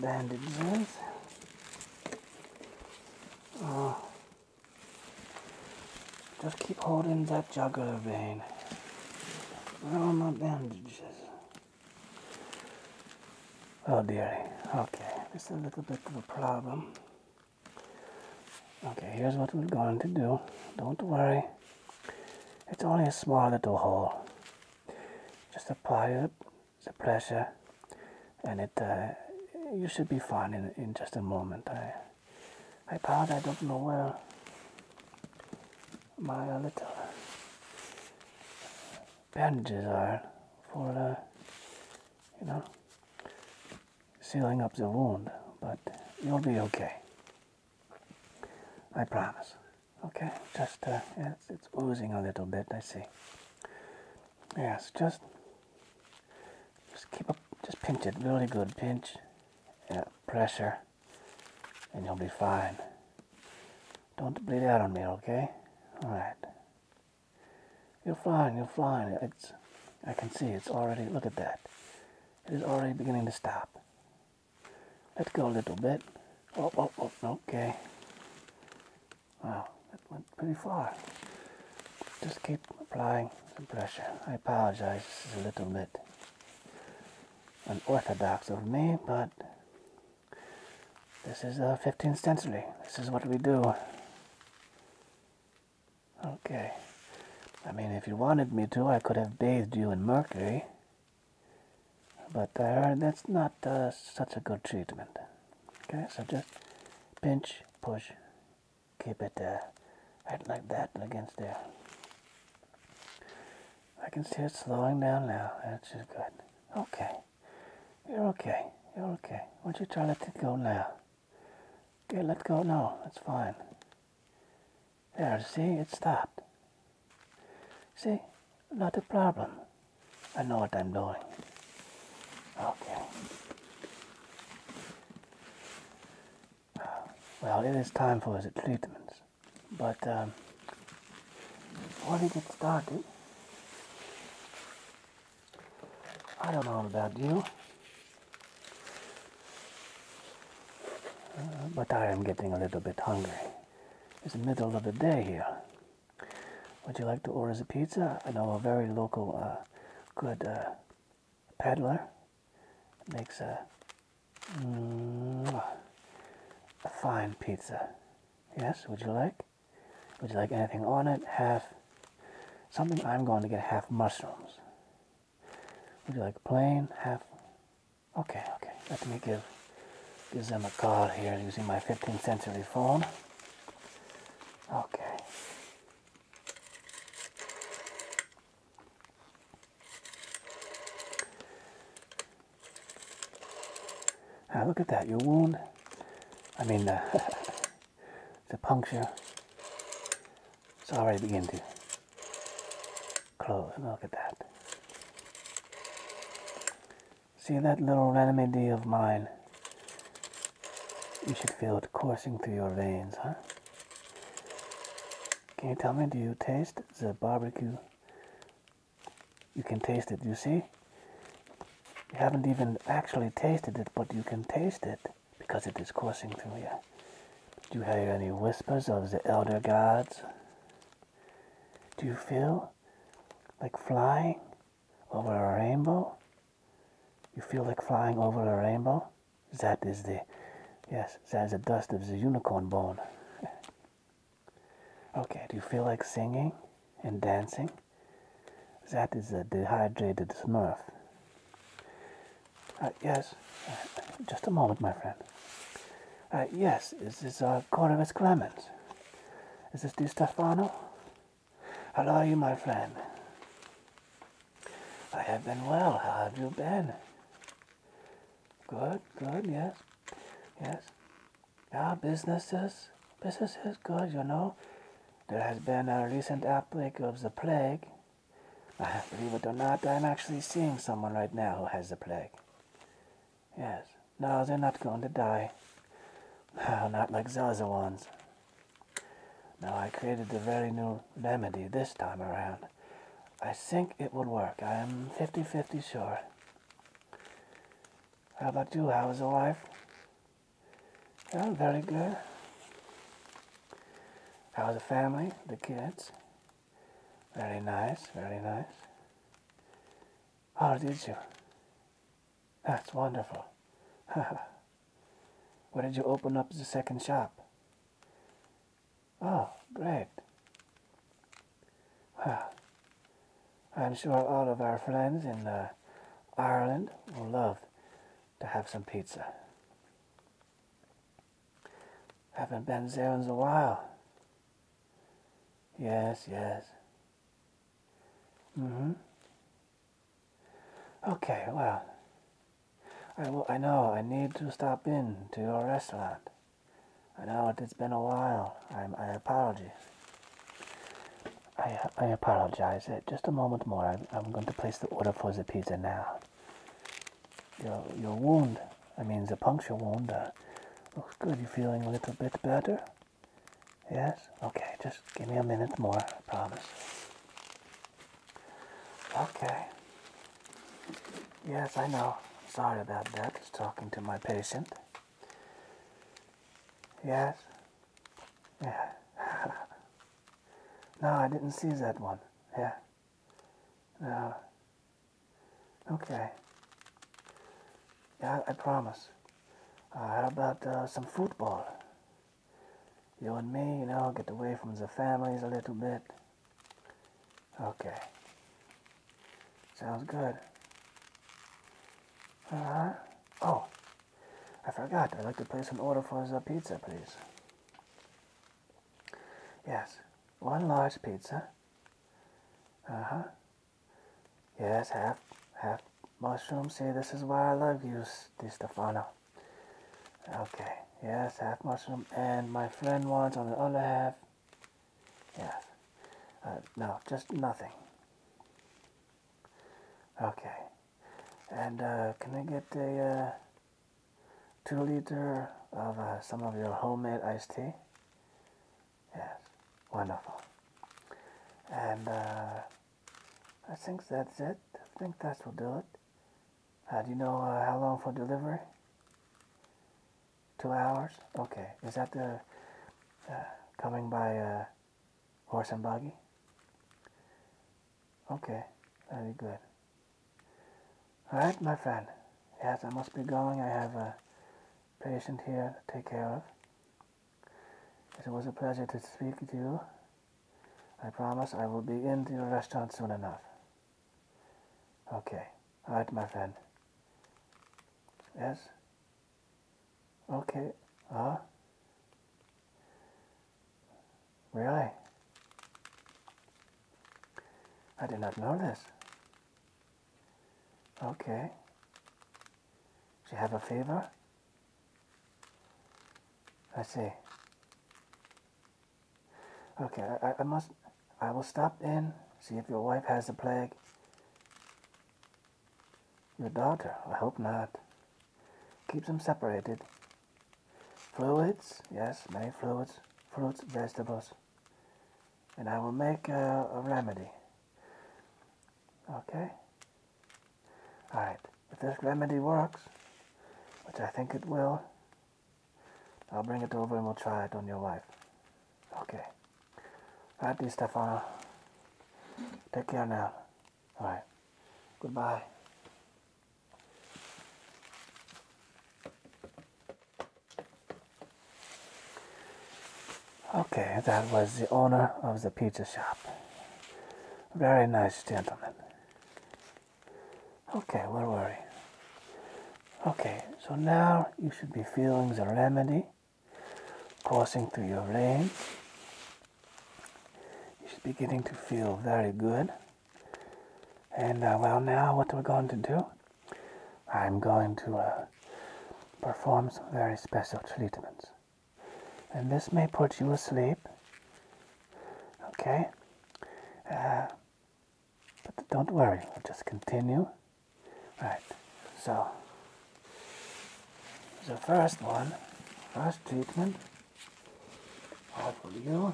bandages? Uh, just keep holding that jugular vein. Where are my bandages? Oh dearie, okay, this is a little bit of a problem. Okay, here's what we're going to do. Don't worry, it's only a small little hole. Just apply the pressure and it uh, you should be fine in, in just a moment. I, I thought I don't know where my little bandages are for you know sealing up the wound, but you'll be okay. I promise. Okay, just it's uh, it's oozing a little bit. I see. Yes, just just keep up, just pinch it really good. Pinch, yeah, pressure and you'll be fine. Don't bleed out on me, okay? Alright. You're fine. you're fine. It's, I can see it's already, look at that. It is already beginning to stop. Let go a little bit. Oh, oh, oh, okay. Wow, that went pretty far. Just keep applying some pressure. I apologize, this a little bit unorthodox of me, but this is the 15th century. This is what we do. Okay. I mean, if you wanted me to, I could have bathed you in mercury. But I uh, heard that's not uh, such a good treatment. Okay, so just pinch, push, keep it uh, like that against there. I can see it slowing down now. That's good. Okay. You're okay. You're okay. Why don't you try to let it go now? Okay, let go now. That's fine. There, see? It stopped. See? Not a problem. I know what I'm doing. Okay. Well, it is time for his treatments but um, before we get started, I don't know about you, uh, but I am getting a little bit hungry. It's the middle of the day here. Would you like to order some pizza? I know a very local, uh, good uh, peddler makes a uh, a mm, fine pizza. Yes, would you like? Would you like anything on it? Half something. I'm going to get half mushrooms. Would you like plain? Half. Okay, okay. Let me give gives them a call here using my 15th century phone. Okay. Ah, look at that, your wound. I mean, it's a puncture. It's already beginning to close. Look at that. See that little remedy of mine? You should feel it coursing through your veins, huh? Can you tell me, do you taste the barbecue you can taste it, you see? You haven't even actually tasted it, but you can taste it because it is coursing through you. Do you hear any whispers of the elder gods? Do you feel like flying over a rainbow? You feel like flying over a rainbow? That is the, yes, that is the dust of the unicorn bone. Okay, do you feel like singing and dancing? That is a dehydrated smurf. Uh, yes, uh, just a moment, my friend. Uh, yes, this is uh, Corvus Clemens. Is this Di Stefano? How are you, my friend? I have been well. How have you been? Good, good, yes. Yes. Yeah, businesses, business is good, you know. There has been a recent outbreak of the plague. I believe it or not, I'm actually seeing someone right now who has the plague. Yes. No, they're not going to die. No, not like those other ones. Now I created a very new remedy this time around. I think it will work. I am fifty-fifty sure. How about you? How is your life? Oh, very good. How was the family? The kids? Very nice, very nice. How did you? That's wonderful. Where did you open up the second shop? Oh, great. Well, I'm sure all of our friends in uh, Ireland will love to have some pizza. Haven't been there in a while. Yes, yes. Mm-hmm. Okay, well, I, will, I know I need to stop in to your restaurant. I know it's been a while. i I apologize. I, I apologize. Uh, just a moment more. I'm, I'm going to place the order for the pizza now. Your, your wound, I mean the puncture wound, uh, looks good. You are feeling a little bit better? Yes? Okay, just give me a minute more, I promise. Okay. Yes, I know. Sorry about that. Just talking to my patient. Yes? Yeah. no, I didn't see that one. Yeah. No. Okay. Yeah, I promise. Uh, how about uh, some football? You and me, you know, get away from the families a little bit. Okay. Sounds good. Alright. Uh-huh. Oh, I forgot. I'd like to place an order for a pizza, please. Yes, one large pizza. Uh-huh. Yes, half, half mushroom. See, this is why I love you, Di Stefano. Okay, yes, half mushroom. And my friend wants on the other half Yes. Uh, no, just nothing. Okay. And uh, can I get a uh, two liter of some of your homemade iced tea? Yes. Wonderful. And I think that's it. I think that will do it. How do you know how long for delivery? Two hours? Okay. Is that the uh, coming by uh, horse and buggy? Okay, very good. Alright, my friend. Yes, I must be going. I have a patient here to take care of. It was a pleasure to speak to you. I promise I will be in the restaurant soon enough. Okay. Alright, my friend. Yes? Okay. Ah. Really? I did not know this. Okay. She have a fever? I see. Okay, I, I must, I will stop in, see if your wife has the plague, your daughter, I hope not. Keep them separated. Fluids, yes, many fluids, fruits, vegetables. And I will make a remedy. Okay? Alright, if this remedy works, which I think it will, I'll bring it over and we'll try it on your wife. Okay. Righty, Stefano. Take care now. All right. Goodbye. Okay, that was the owner of the pizza shop. Very nice gentleman. Okay, where were we? Okay, so now you should be feeling the remedy coursing through your veins. You are beginning to feel very good. And uh, well, now what we're going to do, I'm going to uh, perform some very special treatments. And this may put you asleep, okay? Uh, but don't worry, we'll just continue Right, so the first one, first treatment, all for you.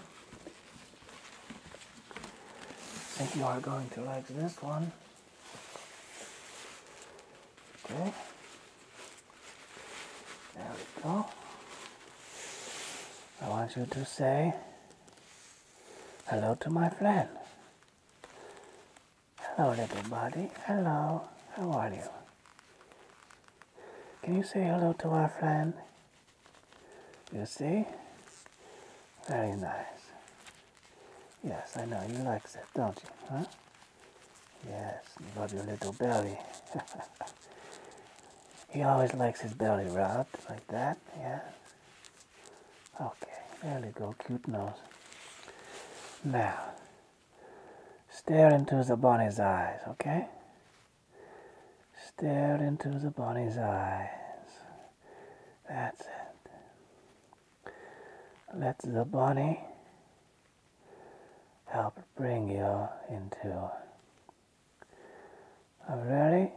I think you are going to like this one. Okay. There we go. I want you to say hello to my friend. Hello, little buddy. Hello. How are you? Can you say hello to our friend? You see? Very nice. Yes, I know. You like that, don't you? Huh? Yes, you love your little belly. he always likes his belly rubbed like that, yeah? Okay, there we go, cute nose. Now, stare into the bunny's eyes, okay? Stare into the bunny's eyes. That's it. Let the bunny help bring you into a very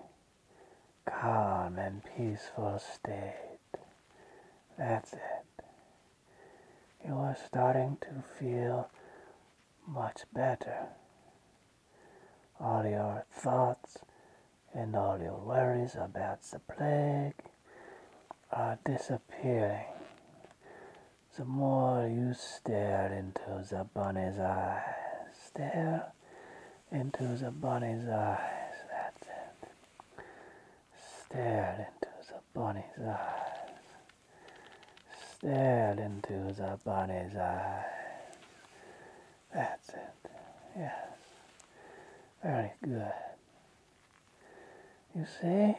calm and peaceful state. That's it you are starting to feel much better. All your thoughts and all your worries about the plague are disappearing. The more you stare into the bunny's eyes, stare into the bunny's eyes, that's it. Stare into the bunny's eyes. Stare into the bunny's eyes. That's it. Yes. Very good. You see?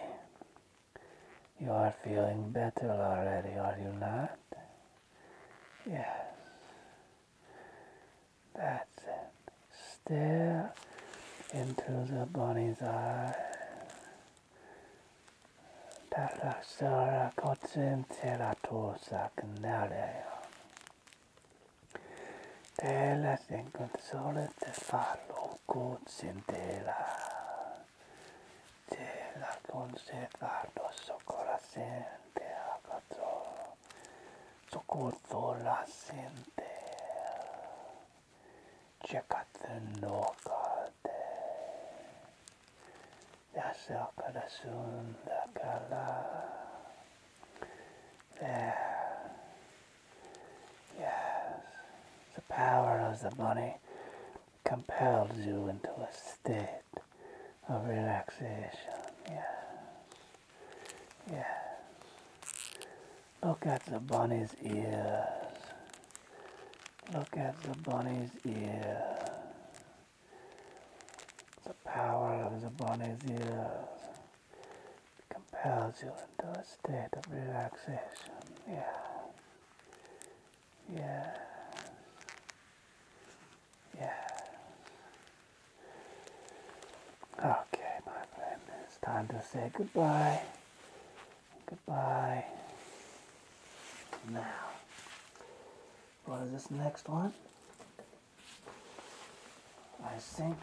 You are feeling better already, are you not? Yes. That's it. Stare into the body's eye. Taraksara kotsim terato saknarea. Tela sin console te fallo kotsim tela. Tela con se fallo socorasen te acatoro. So Sokotola Sentel, Chekatun no Kate, Yasakarasun Dakala. There. Yes, the power of the money compels you into a state of relaxation. Yes. Yes. Look at the bunny's ears. Look at the bunny's ears. The power of the bunny's ears compels you into a state of relaxation. Yeah. Yeah. Yeah. Okay, my friend, it's time to say goodbye. Goodbye. Now, what is this next one? I think.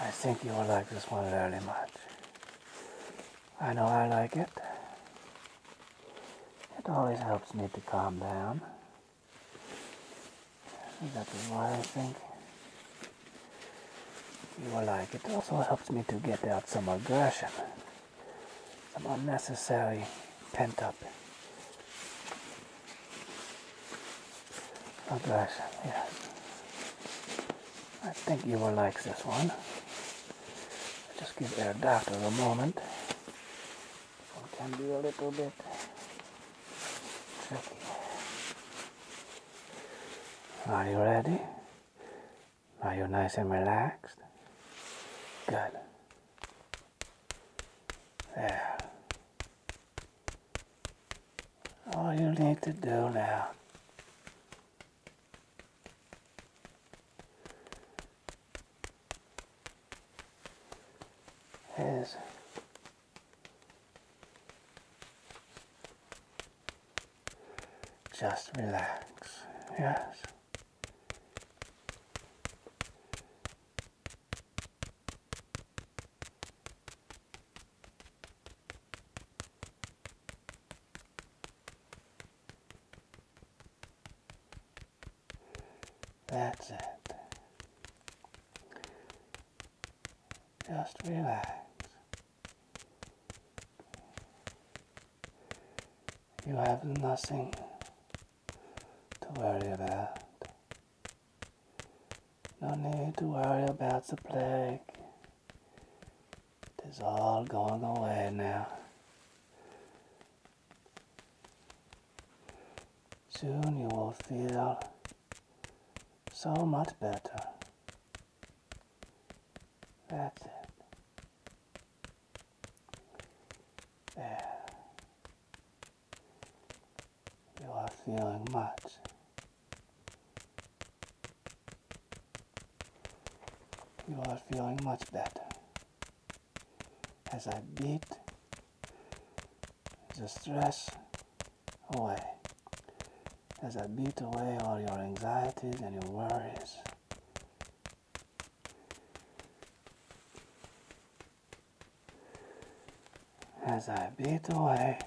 I think you will like this one very much. I know I like it. It always helps me to calm down. That is why I think you will like it. Also helps me to get out some aggression, some unnecessary pent up aggression. I think you will like this one. Just give it a our for a moment can be a little bit tricky. Are you ready? Are you nice and relaxed? Good. There. All you need to do now is just relax, yes. That's it. Just relax. You have nothing to worry about. No need to worry about the plague. It is all going away now. Soon you will feel so much better. That's it. There. You are feeling much. You are feeling much better as I beat the stress away, as I beat away all your anxieties and your worries. As I beat away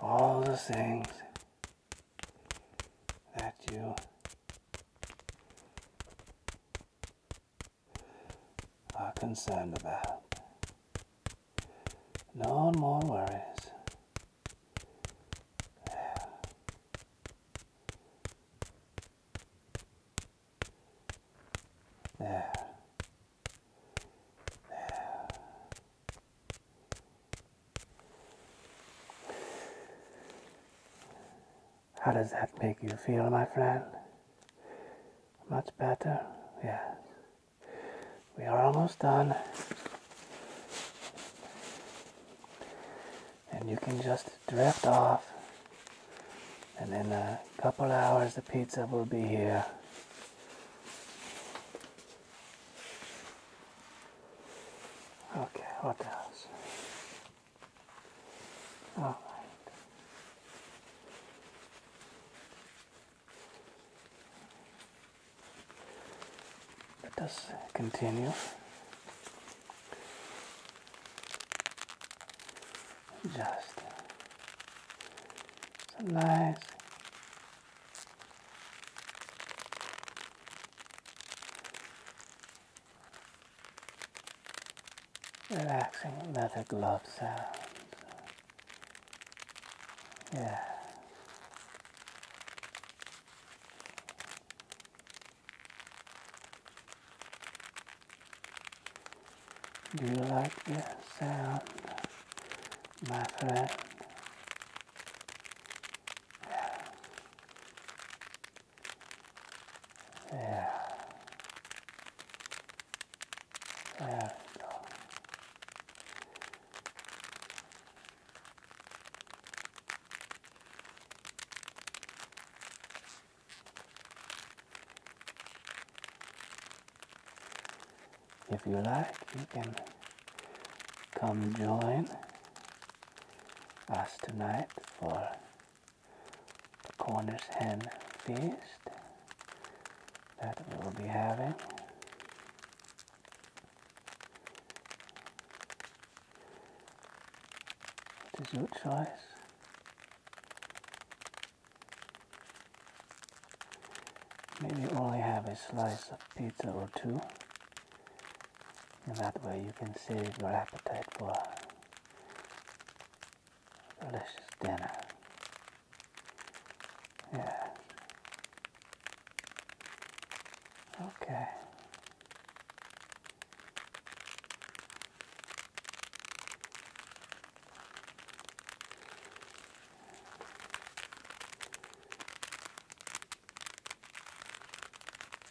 all the things that you are concerned about. No more worries. There. There. How does that make you feel, my friend? Much better? Yes. We are almost done. And you can just drift off. And in a couple hours, the pizza will be here. Okay, what else? Let us continue. Just some nice relaxing leather glove sounds. Yeah. Do you like this sound, my friend? Yeah. Yeah. There we go. If you like, you can come join us tonight for the Cornish Hen Feast that we will be having. It is your choice. Maybe only have a slice of pizza or two in that way you can save your appetite for a delicious dinner. Yes. Okay.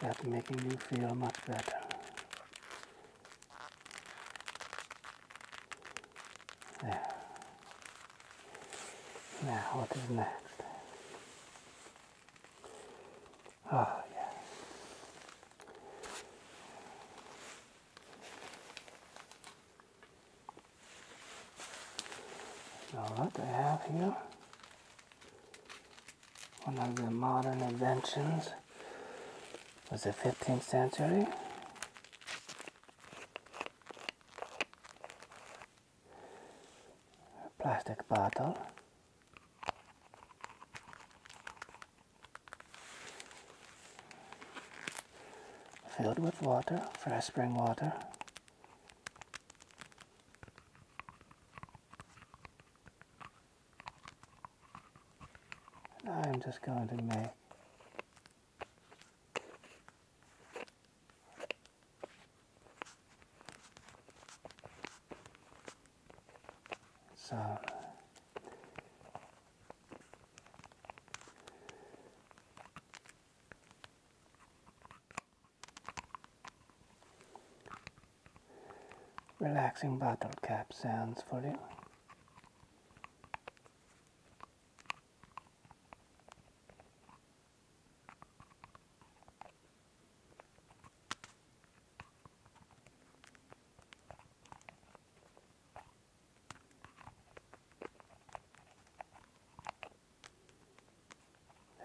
That's making you feel much better. There. Now, what is next? Ah, oh, yes. So what I have here one of the modern inventions was the 15th century. plastic bottle. Filled with water, fresh spring water. And I'm just going to make some relaxing bottle cap sounds for you.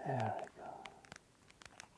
There we go.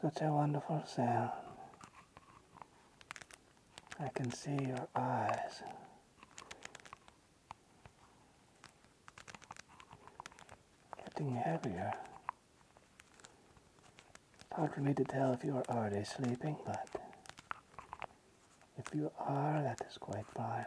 Such a wonderful sound. I can see your eyes. Getting heavier. hard for me to tell if you are already sleeping, but if you are, that is quite fine.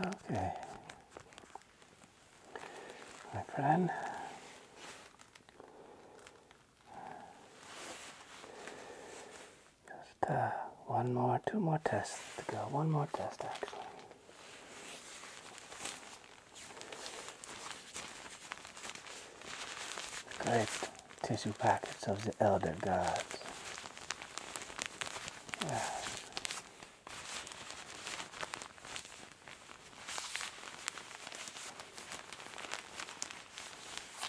Okay, my friend, just uh, one more, two more tests to go. One more test, actually. great tissue packets of the elder gods.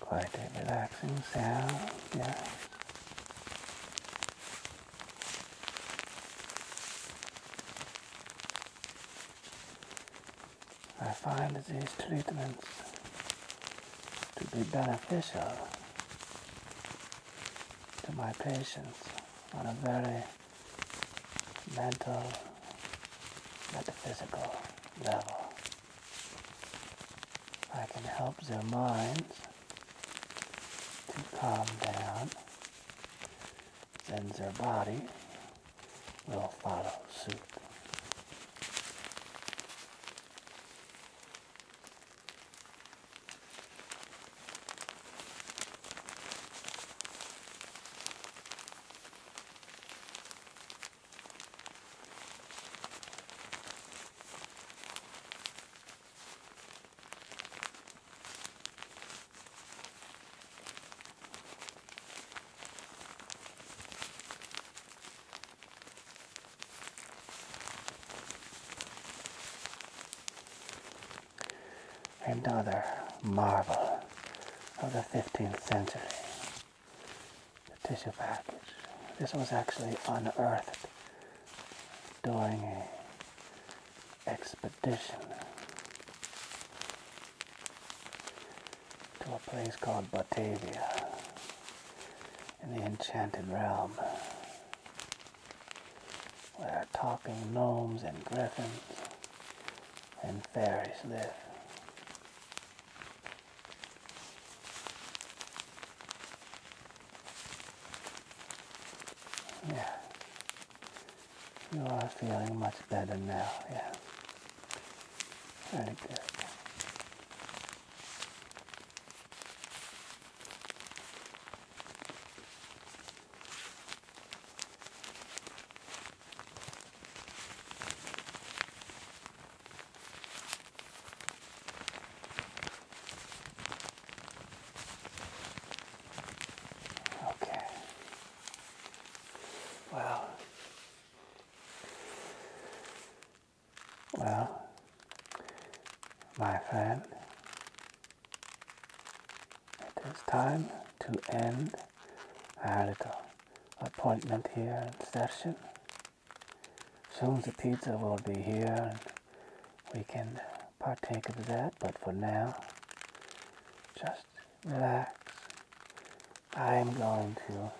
Quite a relaxing sound, yes. I find these treatments to be beneficial to my patients on a very mental, metaphysical level. I can help their minds to calm down, then their body will follow suit. Another marvel of the 15th century the tissue package. This was actually unearthed during a expedition to a place called Batavia in the Enchanted Realm where talking gnomes and griffins and fairies live. Yeah. You are feeling much better now, yeah. Very good. Okay. Well. Well, my friend, it is time to end our little appointment here in session. Soon the pizza will be here and we can partake of that, but for now, just relax. I'm going to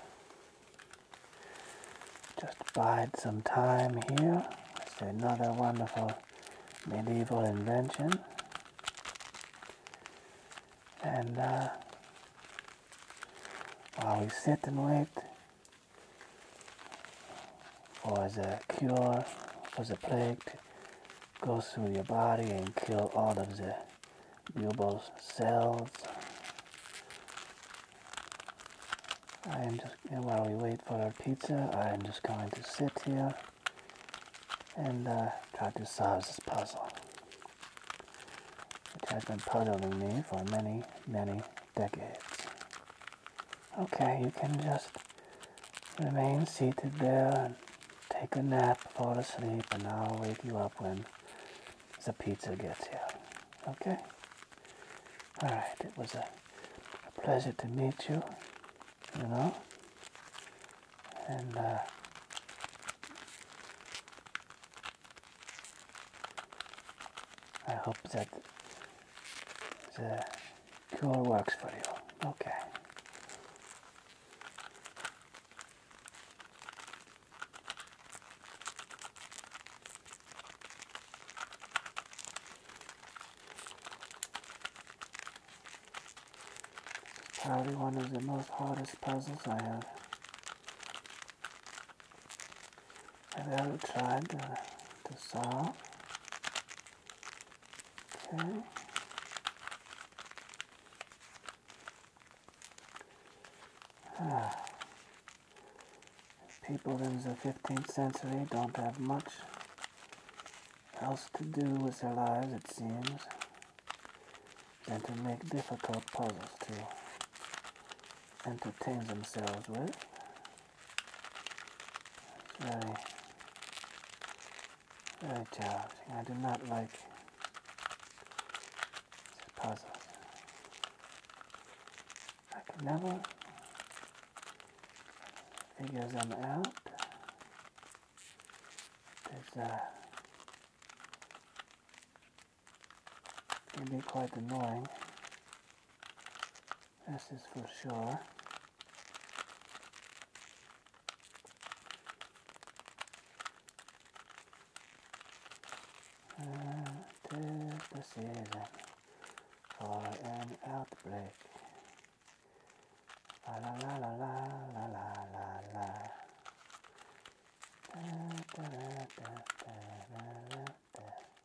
just bide some time here. It's another wonderful medieval invention. And uh, while we sit and wait for the cure for the plague go through your body and kill all of the bubble cells. I am just, while we wait for our pizza, I am just going to sit here and uh, try to solve this puzzle. It has been puzzling me for many, many, decades. Okay, you can just remain seated there and take a nap, fall asleep, and I'll wake you up when the pizza gets here. Okay? Alright, it was a, a, pleasure to meet you, you know? And, uh, I hope that the cooler works for you. Okay. Probably one of the most hardest puzzles I have Maybe I will try to, to solve. Okay. Ah. People in the 15th century don't have much else to do with their lives, it seems, than to make difficult puzzles to entertain themselves with very, very challenging. I do not like these puzzles. I can never figure them out. There's uh, can be quite annoying. This is for sure. Uh, the season for an outbreak. La la la la la la la la la. Da, da, da, da,